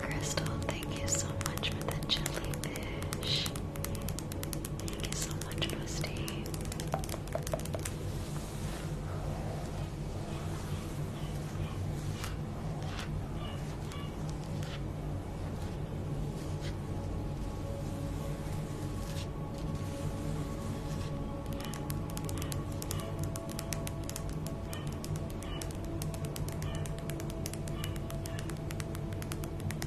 Crystal, thank you so much for the jellyfish. Thank you so much, Rusty.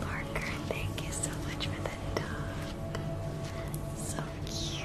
Parker, thank you so much for the dog. So cute.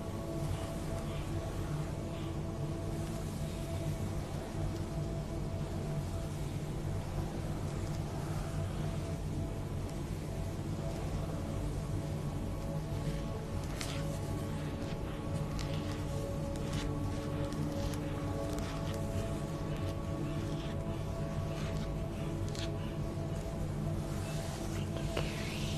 Thank you, Carrie.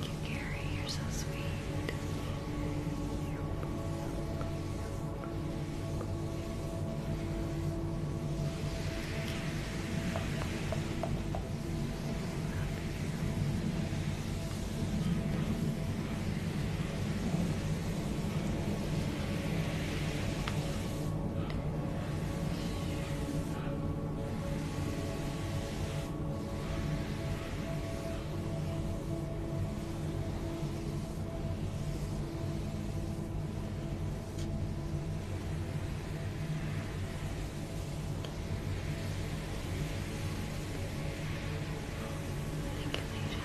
Thank you, Gary. You're so sweet. Thank you, Leisha. Thank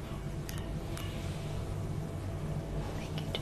Thank you, JJ.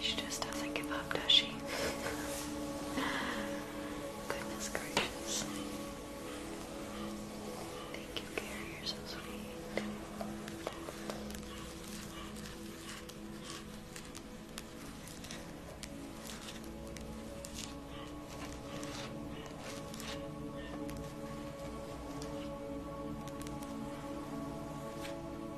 She just doesn't give up, does she? Goodness gracious. Thank you, Gary. You're so sweet.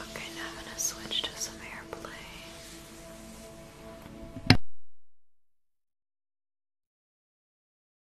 Okay, now I'm going to switch to some airplay.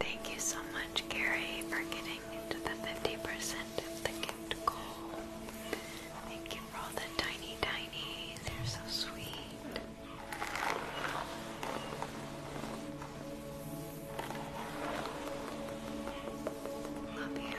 Thank you so much, Gary, for getting to the 50% of the gift Thank you for all the tiny, tiny. They're so sweet. Love you.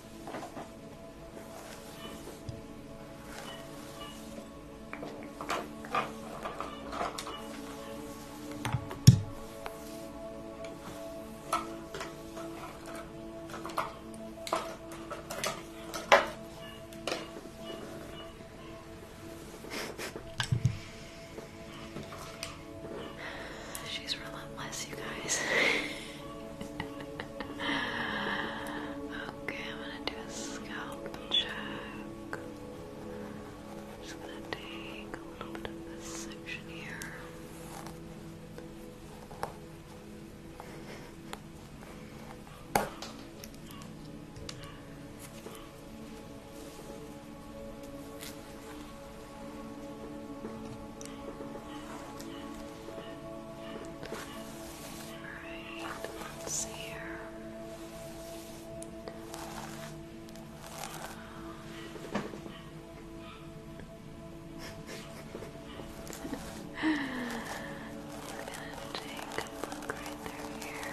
She's relentless, you guys. okay, I'm gonna do a scalp check. just gonna take a little bit of this section here. Alright, let's see here. We're gonna take a look right through here.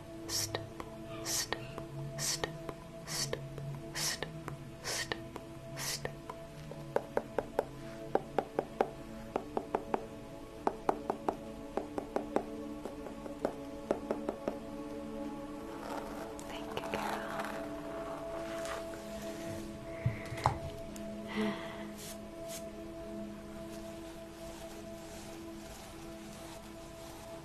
step, step, step, step, step, step, step. Thank you,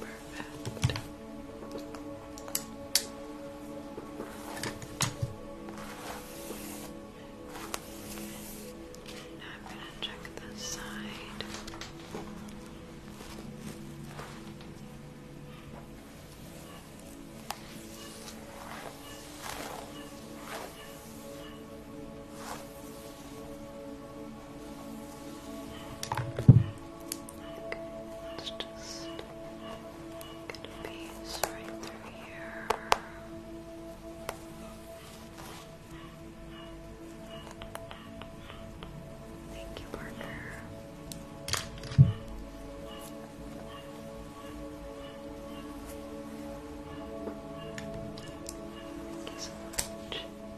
Perfect. Now I'm going to check this side. Okay, just get a piece right through here. Thank you, partner.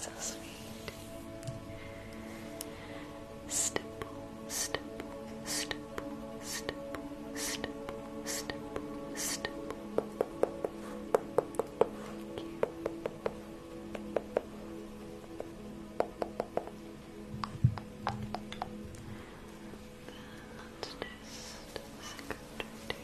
So sweet. Stipple, stipple, stipple, stipple, stipple, stipple, stipple. Thank you let's just second two.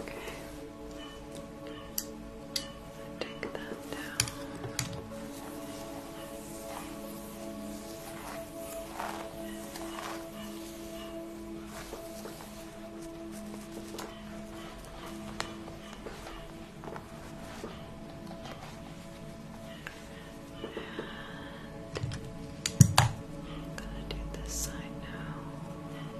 Okay. Take that down. I'm gonna do this side now.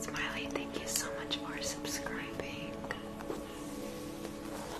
Smiley, thank you so much for subscribing.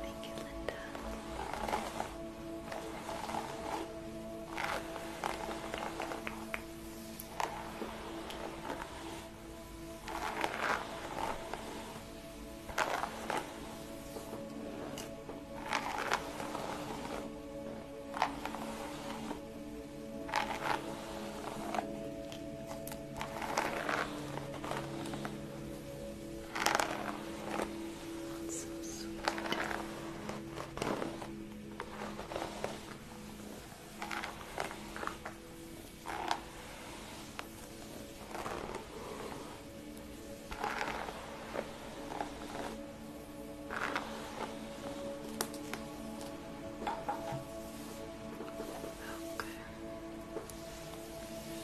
Thank you, Linda. Thank that's so sweet. Okay.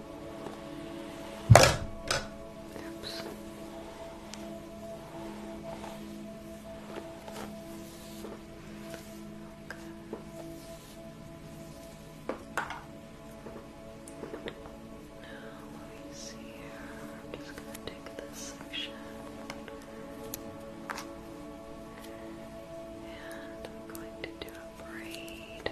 Oops. Okay. Now let see I'm just gonna take this section. And I'm going to do a braid.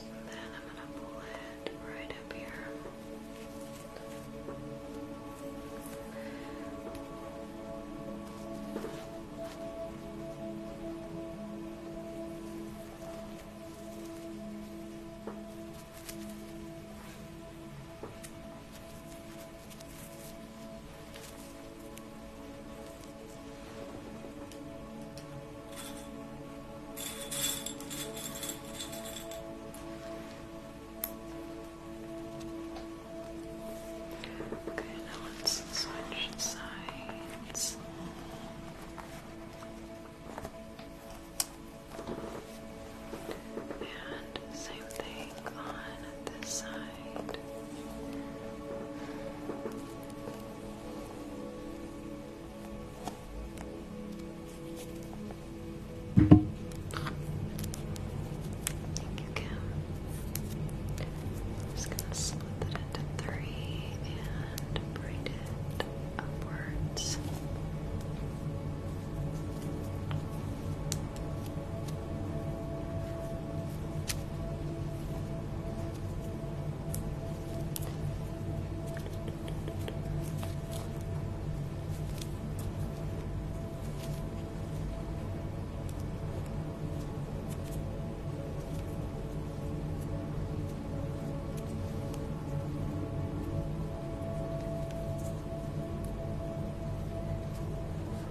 And then I'm going to pull it right up here. And Okay, now let's switch sides. And same thing on this side. Thank you, just gonna split it into three and braid it upwards.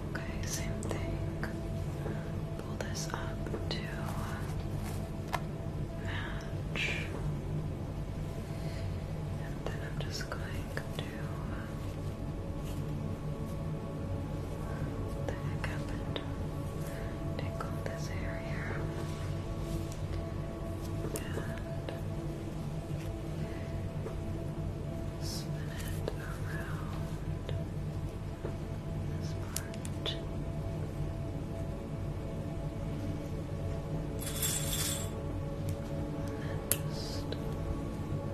Okay, same thing. Pull this up to match. And then I'm just going to pick up and tickle this area. And spin it around this part. Next,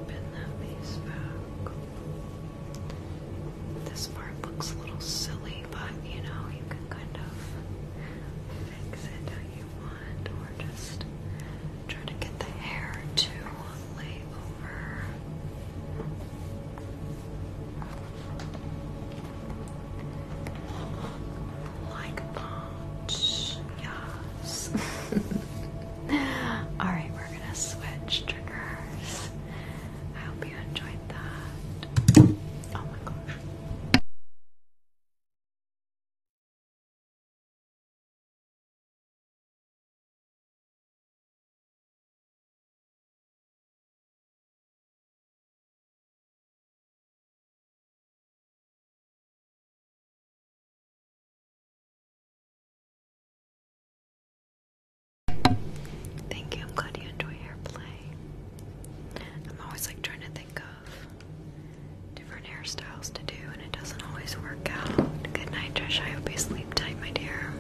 pin that piece back. This part looks a little silly, but you know, you can kind of fix it how you want, or just try to get the hair to lay over. Alright, we're gonna switch triggers. I hope you enjoyed that. Oh my gosh. Thank you. I'm glad you enjoy airplay. I'm always like trying to think of different hairstyles to do, and it doesn't always work out. Good night, Josh. I hope you sleep tight, my dear.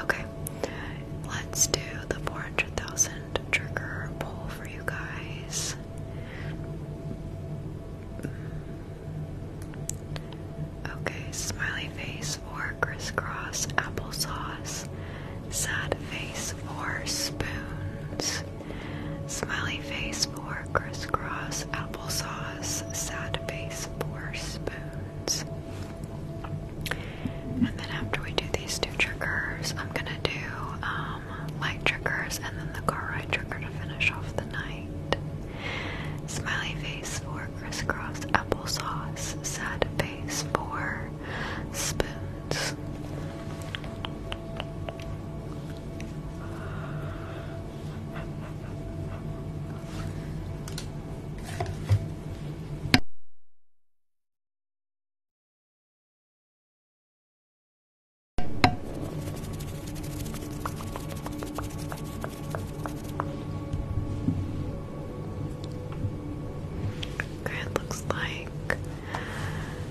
Okay let's do the 400,000 trigger pull for you guys. Okay, smiley face for crisscross applesauce, sad face for spoons, smiley face for crisscross applesauce, sad face for spoons. And then after we do these two triggers, I'm gonna do um, light triggers and then the car ride trigger to finish off the night. Smiley face for crisscross applesauce. Sad face for spoons it looks like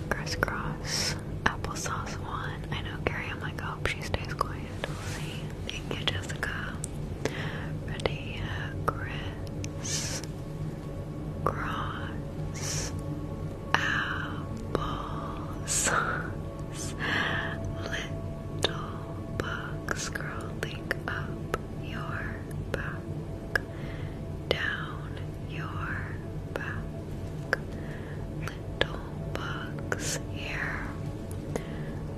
crisscross applesauce one. I know Gary, I'm like, oh, she stays quiet. We'll see. Thank you, Jessica. Ready, Chris. Cross. up your back. Down your back. Little bugs here.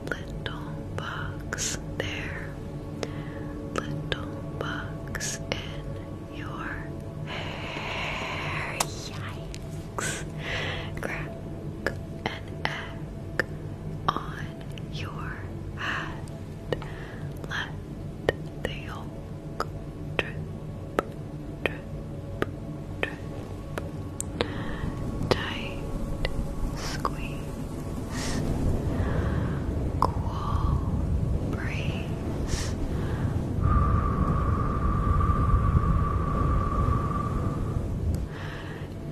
Little bugs there little bugs in your hair. Yikes! Crack an egg on your head. Let the yolk drip, drip, drip. Tight squeeze cool breeze.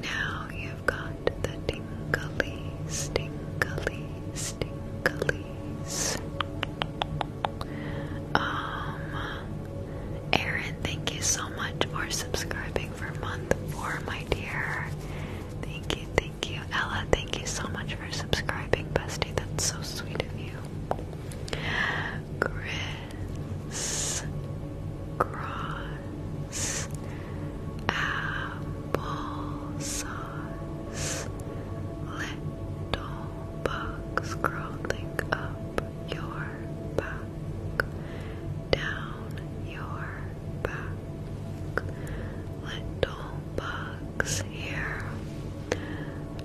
Now you've got the tingleys, tingleys, tingleys. Um, Erin, thank you so much for subscribing for a month four, my dear. Thank you, thank Thank you, Ella. Thank you so much for subscribing, Bestie. That's so sweet of you. Chris Cross Apple Little Bugs crawling up your back down your back Little bugs here,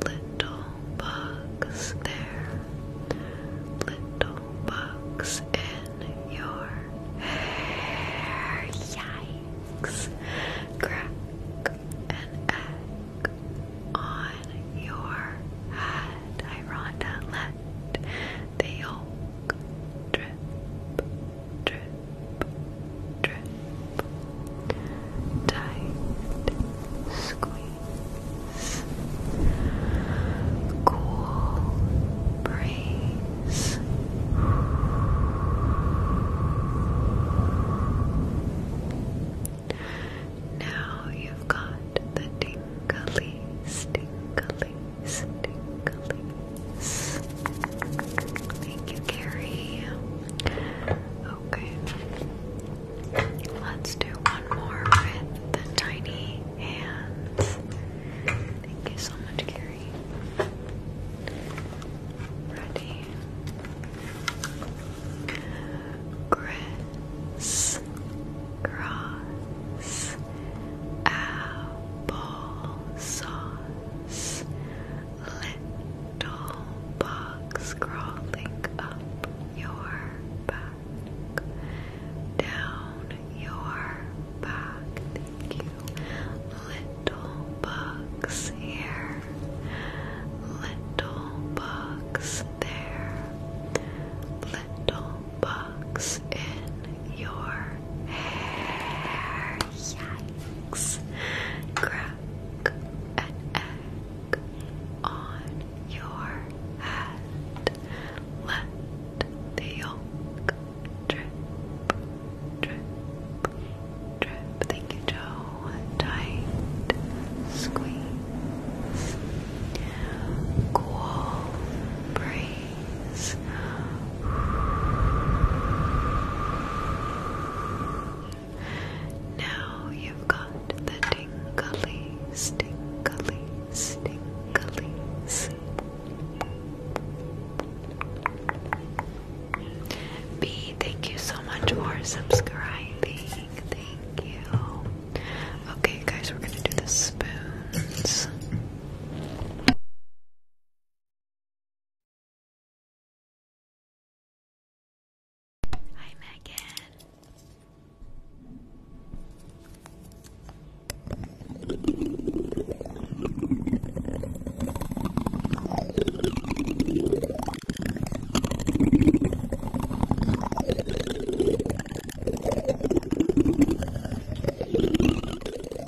little bugs there, little bugs in your hair. Yikes! Crack and egg on your head. Rhonda let the yolk drip drip, drip, tight, squeeze, cool breeze. Now you've got the tingly, tingly, Stinglies. Thank you, Carrie. Okay. Let's do one more with the tiny hands. Thank you so much, Carrie. Ready? Chris, cross, apple, little bugs crawling up your back, down your back. Thank you, little bugs here, little bugs there, little bugs in your hair. Yes. Crack an egg on your head. Let the drip, drip, drip. Thank you, Joe. Tight squeeze. Cool breeze. Now you've got the tingleys, tingleys, tingleys. B, thank you so much for subscribing. Thank you. Okay, guys, we're gonna do the spoons. Hi, Megan.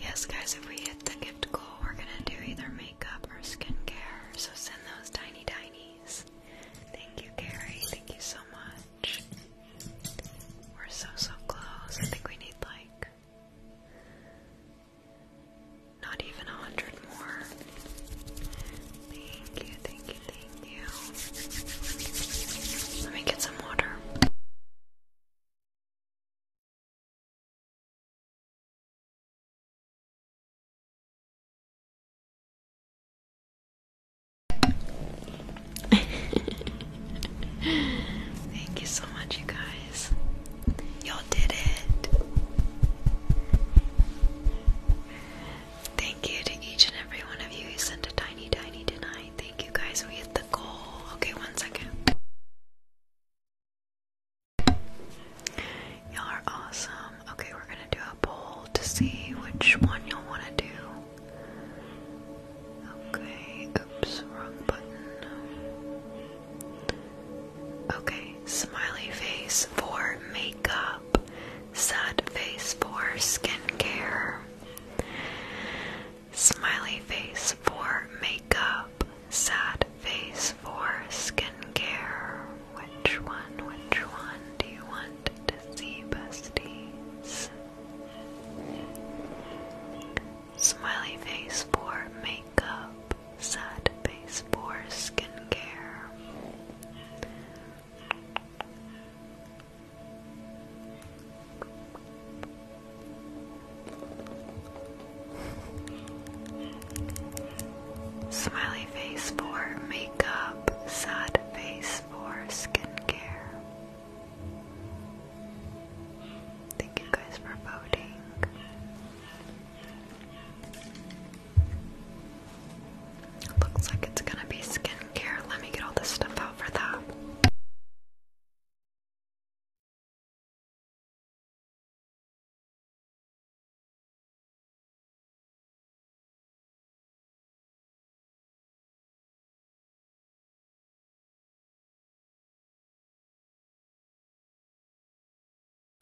Yes, guys, if we hit the gift goal, we're gonna do either makeup or skincare. So send those tiny tinies. Thank you, Carrie. Thank you so much. We're so, so close. I think we need like not even a hundred more. Thank you, thank you, thank you. Let me get some water. Thank you so much, you guys. Y'all did it. Thank you to each and every one of you who sent a tiny, tiny tonight. Thank you guys. We hit the goal. Okay, one second. Y'all are awesome. Okay, we're gonna do a poll to see which one y'all wanna do. Okay, oops, wrong button. Okay, smiley face for makeup, sad face for skincare. Smiley face for makeup, sad face for skincare. Which one, which one do you want to see, besties? Smiley face for makeup. Sad face for skincare. Smiley face for makeup, sad face for skincare. Thank you guys for voting. looks like it's gonna be skincare. Let me get all this stuff out for that.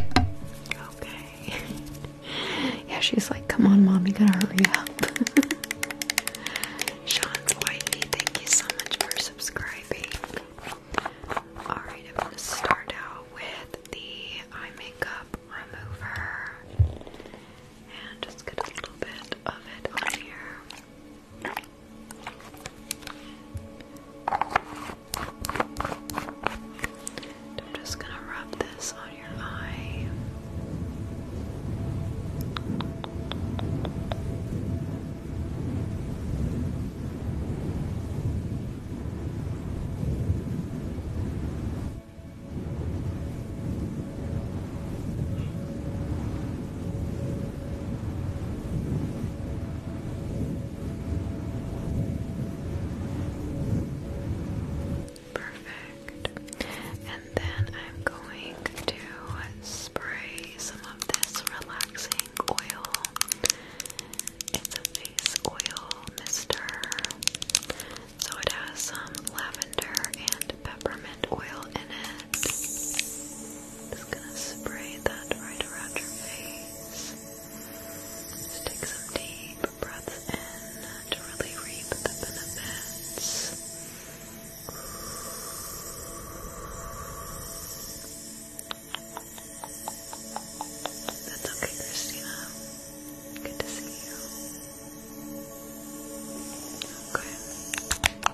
Okay. yeah, she's like, come on, mom, you gotta hurry up. Sean's wifey, thank you so much for subscribing. Alright, I'm gonna start out with the eye makeup remover. And just get a little bit of it on here. I'm just going to rub this on your eye. Perfect. And then I'm going to spray some of this relaxing oil. It's a face oil mister. So it has some lavender and peppermint oil in it. Just gonna spray that right around your face. take some deep breaths in to really reap the benefits. That's okay, Christina. Good to see you. Okay.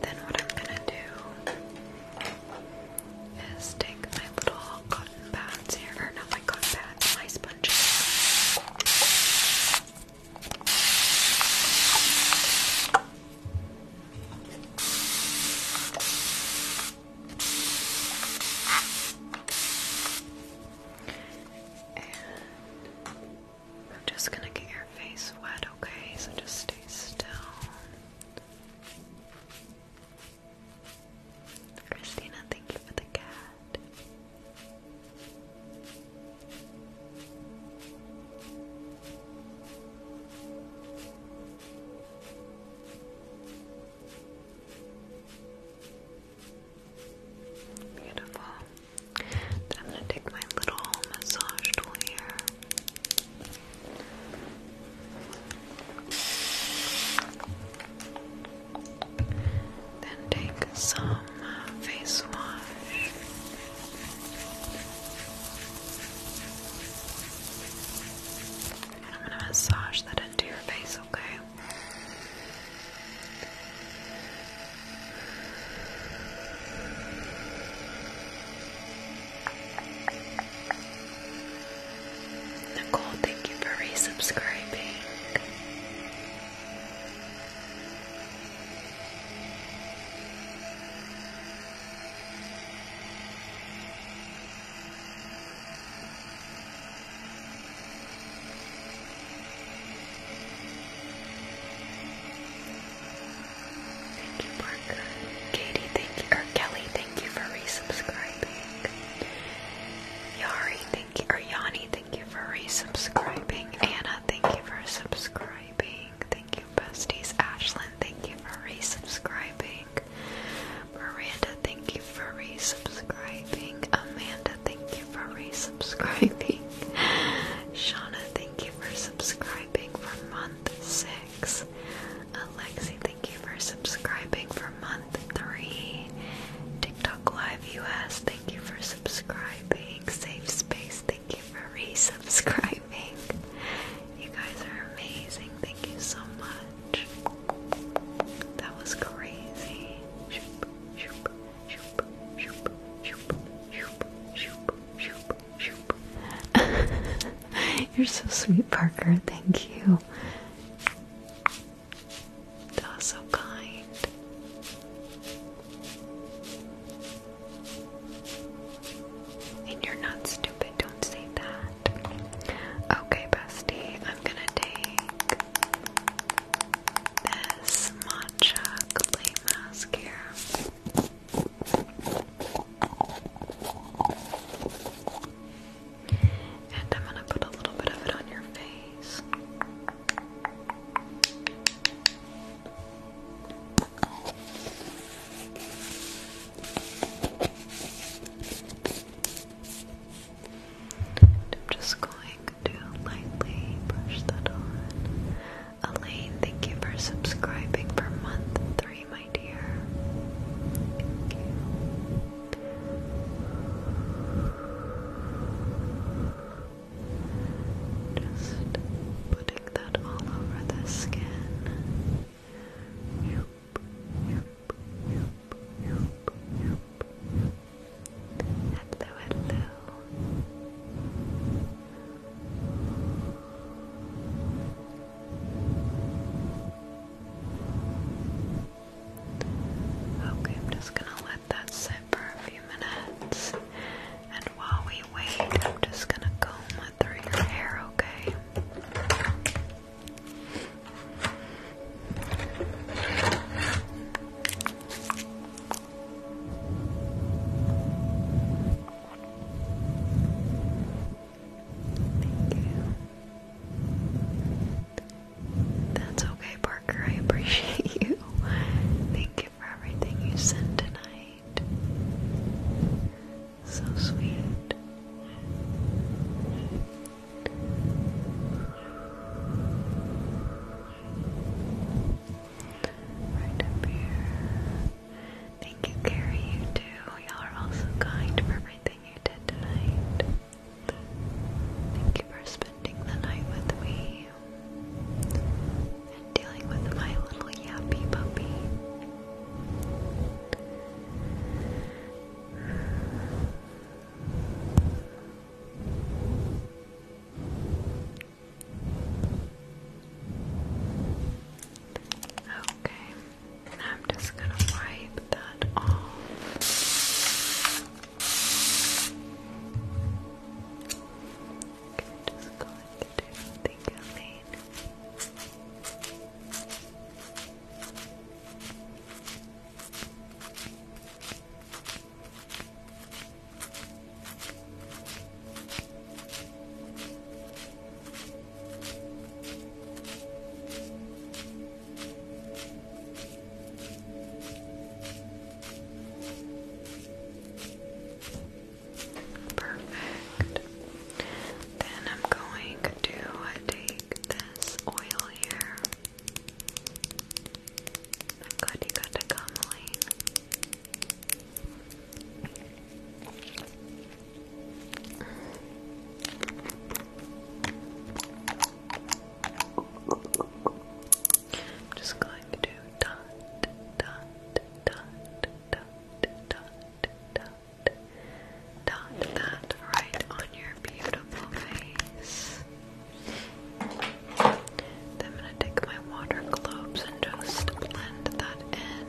Then what I'm gonna do is take my little cotton pads here, or not my cotton pads, my sponges. I'm just gonna get your face wet, okay? So just stay still. Christina, thank you for the cat. Beautiful. I'm going to take my little massage tool here then take some face wash. I'm going to massage that into your face, okay? Nicole, thank you for resubscribing. Thank you, Parker. Katie, thank you, or Kelly, thank you for resubscribing. Yari, thank you, or Yanni, thank you for resubscribing. Anna, thank you for subscribing. Thank you, besties. Ashlyn, thank you for resubscribing. Miranda, thank you for resubscribing. Amanda, thank you for resubscribing. Shauna, thank you for subscribing for month six. Alexi, thank you for subscribing for month three. TikTok Live US, thank you for subscribing. Safe Space, thank you for resubscribing. You guys are amazing. Thank you so much. That was crazy. You're so sweet, Parker. Thank you. so kind. And you're not stupid, don't say that. Okay, bestie, I'm gonna take this matcha clay mask and I'm gonna put a little bit of it on your face. And I'm just going to lightly brush that on Elaine, thank you for subscribing for month three, my dear. Just putting that all over the skin. Hello, hello. Okay, I'm just gonna let that sit for a few minutes. And while we wait, I'm just gonna comb it through your hair, Okay, Thank you. That's okay, Parker. I appreciate you. Thank you for everything you sent tonight. So sweet. Right up here. Thank you, Carrie. You too. Y'all are also kind for everything you did tonight. Thank you for spending the night with me and dealing with my little yappy puppy. Okay, I'm just gonna wipe that off. Okay, just going to do the campaign. Perfect. Then I'm going to take this oil here. I'm glad you got to come, Lane. I'm just going to dot, dot, dot, dot, dot, dot, dot that right on your beautiful face. I'm gonna take my water globes and just blend that in.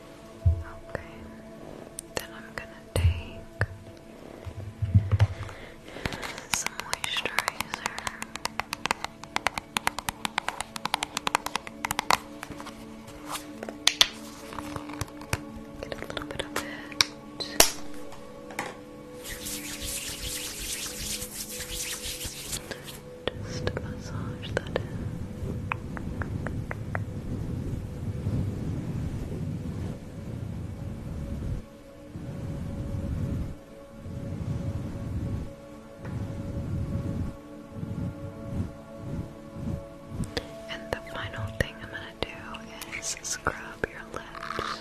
Okay, then I'm gonna take some moisturizer. Get a little bit of it. Just about and the final thing I'm going to do is scrub your lips.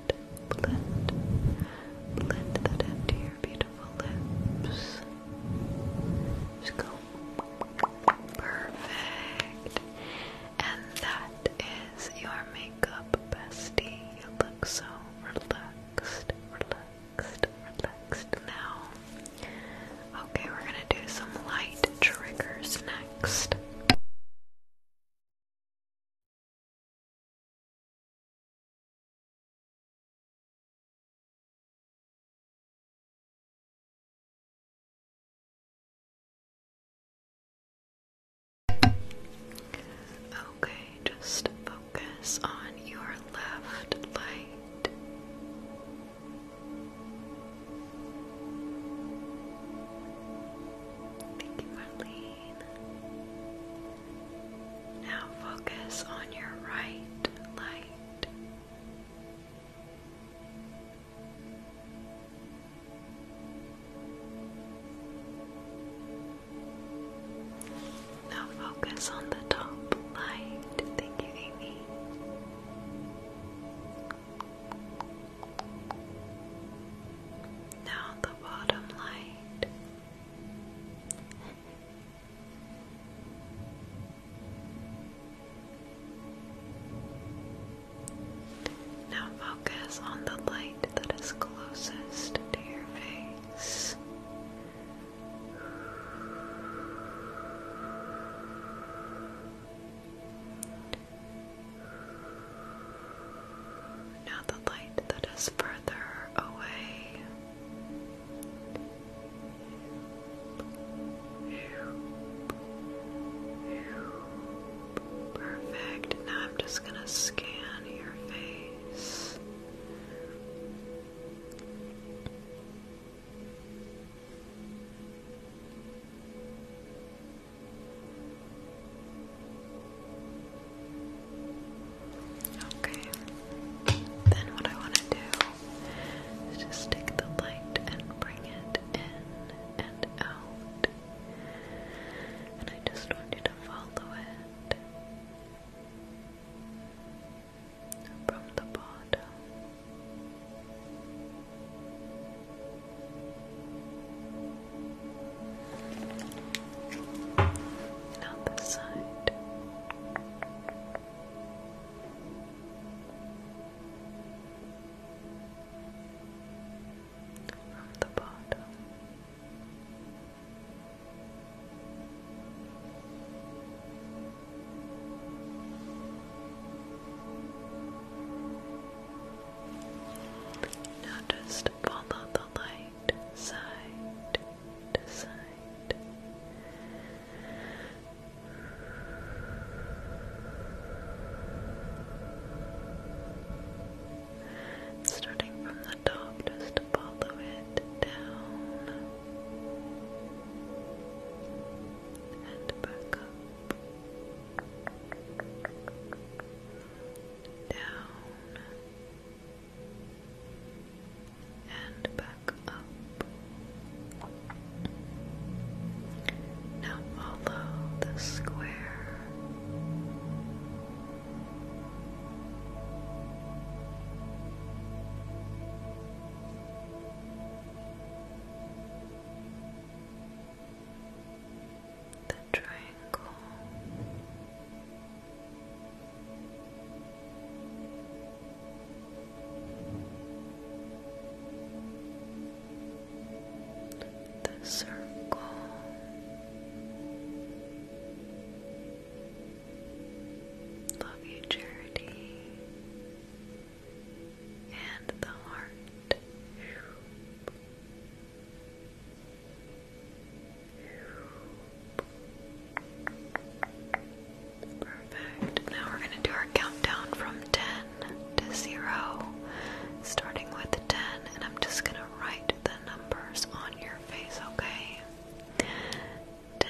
blend, blend that into your beautiful lips. Perfect. And that is your makeup bestie. You look so relaxed, relaxed, relaxed now. Okay, we're gonna do some light triggers next. Okay, just focus on your left light. Thank you, Marlene. Now focus on your right light. Now focus on the top light. Thank you, Amy. Now the bottom light. Now focus on the light that is closest to your face now the light that is further away. Perfect. Now I'm just going to scan your face. Okay. Then what I want to do is just take the light and bring it in and out. And I just want you to follow it from the bottom and on the side. From the bottom. Now just follow the light side, side to side. Starting from the top, just follow it down and back up, down and back up. Now follow the square. The triangle, the circle. Love you, and the heart. Perfect. Now we're going to do our countdown from 10 to 0, starting with 10, and I'm just going to write the numbers on your face, okay? 10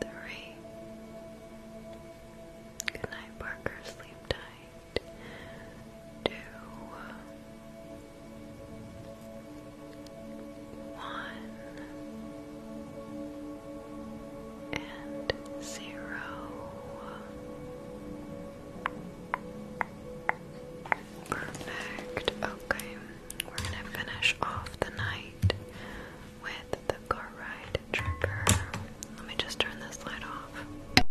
Three. Good night, Parker. Sleep tight. Two. One. And zero. Perfect. Okay we're gonna finish off the night with the car ride trigger. Let me just turn this light off.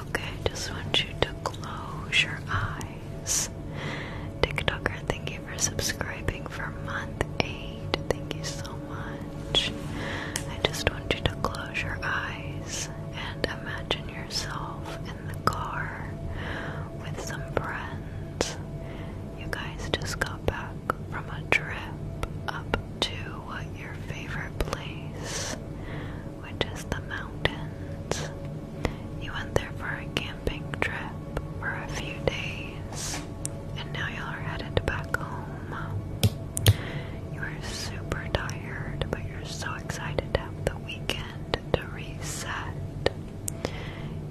Okay, just want you to close your eyes. TikToker, thank you for subscribing for month eight. Thank you so much. I just want you to close your eyes and imagine yourself in the car with some friends. You guys just got back from a trip up to what your favorite place which is the mountains. You went there for a camping trip for a few days, and now you are headed back home. You are super tired, but you're so excited to have the weekend to reset.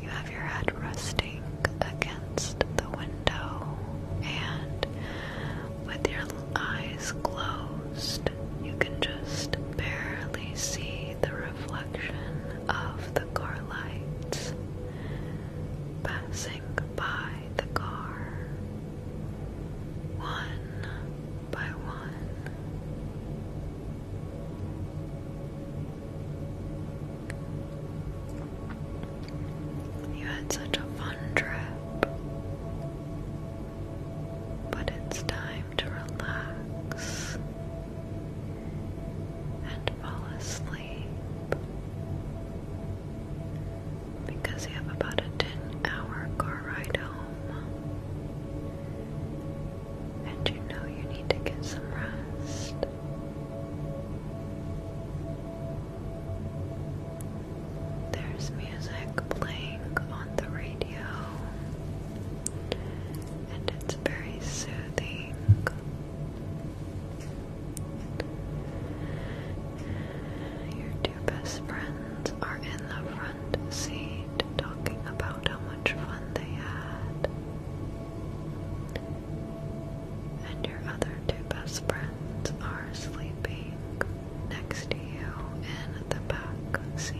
You have your head resting against the window, and with your eyes closed, you can just barely see the reflection of the car lights passing by the car one by one. You had such a fun trip but it's time to relax and fall asleep because you have about a 10 hour car ride home and you know you need to get some rest. There's music playing on the radio, and it's very soothing. Your two best friends are in the front seat talking about how much fun they had. And your other two best friends are sleeping next to you in the back seat.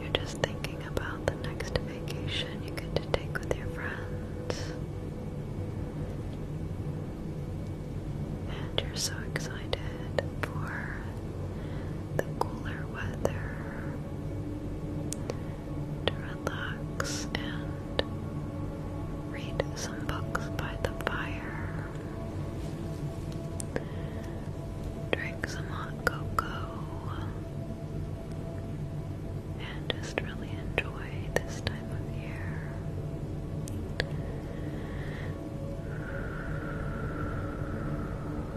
You're just thinking about the next vacation you get to take with your friends. And you're so excited for the cooler weather relax and read some books by the fire, drink some hot cocoa, and just really enjoy this time of year.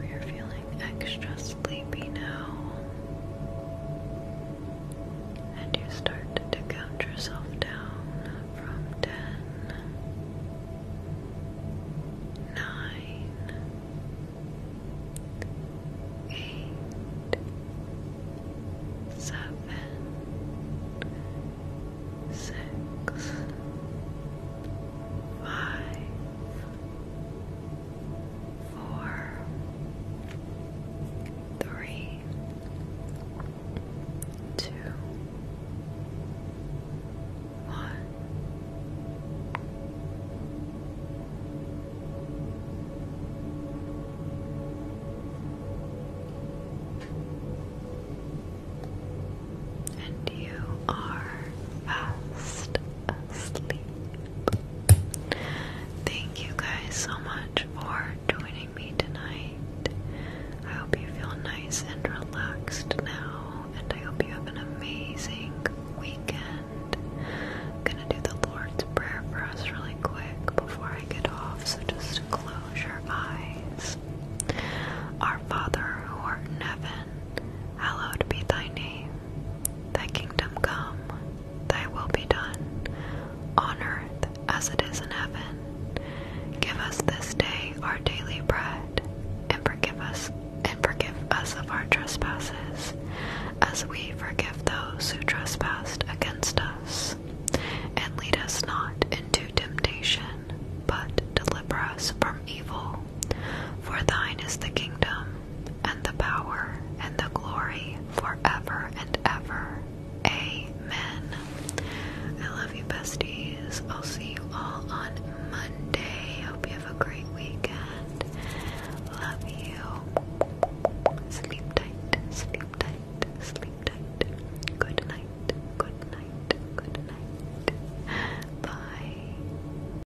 You're feeling extra sleepy now. And you start to count yourself down from ten, nine, eight, seven, six, five, four, three, two, one. And you are fast asleep. Thank you guys so much for joining me tonight. I hope you feel nice and relaxed now, and I hope you have an amazing weekend. I'm gonna do the Lord's Prayer for us really quick before I get off, so just close your eyes. Our Father who art in heaven, Hallowed be thy name, thy kingdom come, thy will be done, on earth as it is in heaven. Give us this day our daily bread, and forgive us and forgive us of our trespasses, as we forgive those who trespass against us. And lead us not into temptation, but deliver us from evil. For thine is the kingdom and the power and the glory forever and ever. Amen. I love you, besties. I'll see you all on Monday. Hope you have a great weekend. Love you. Sleep tight, sleep tight, sleep tight. Good night, good night, good night. Bye.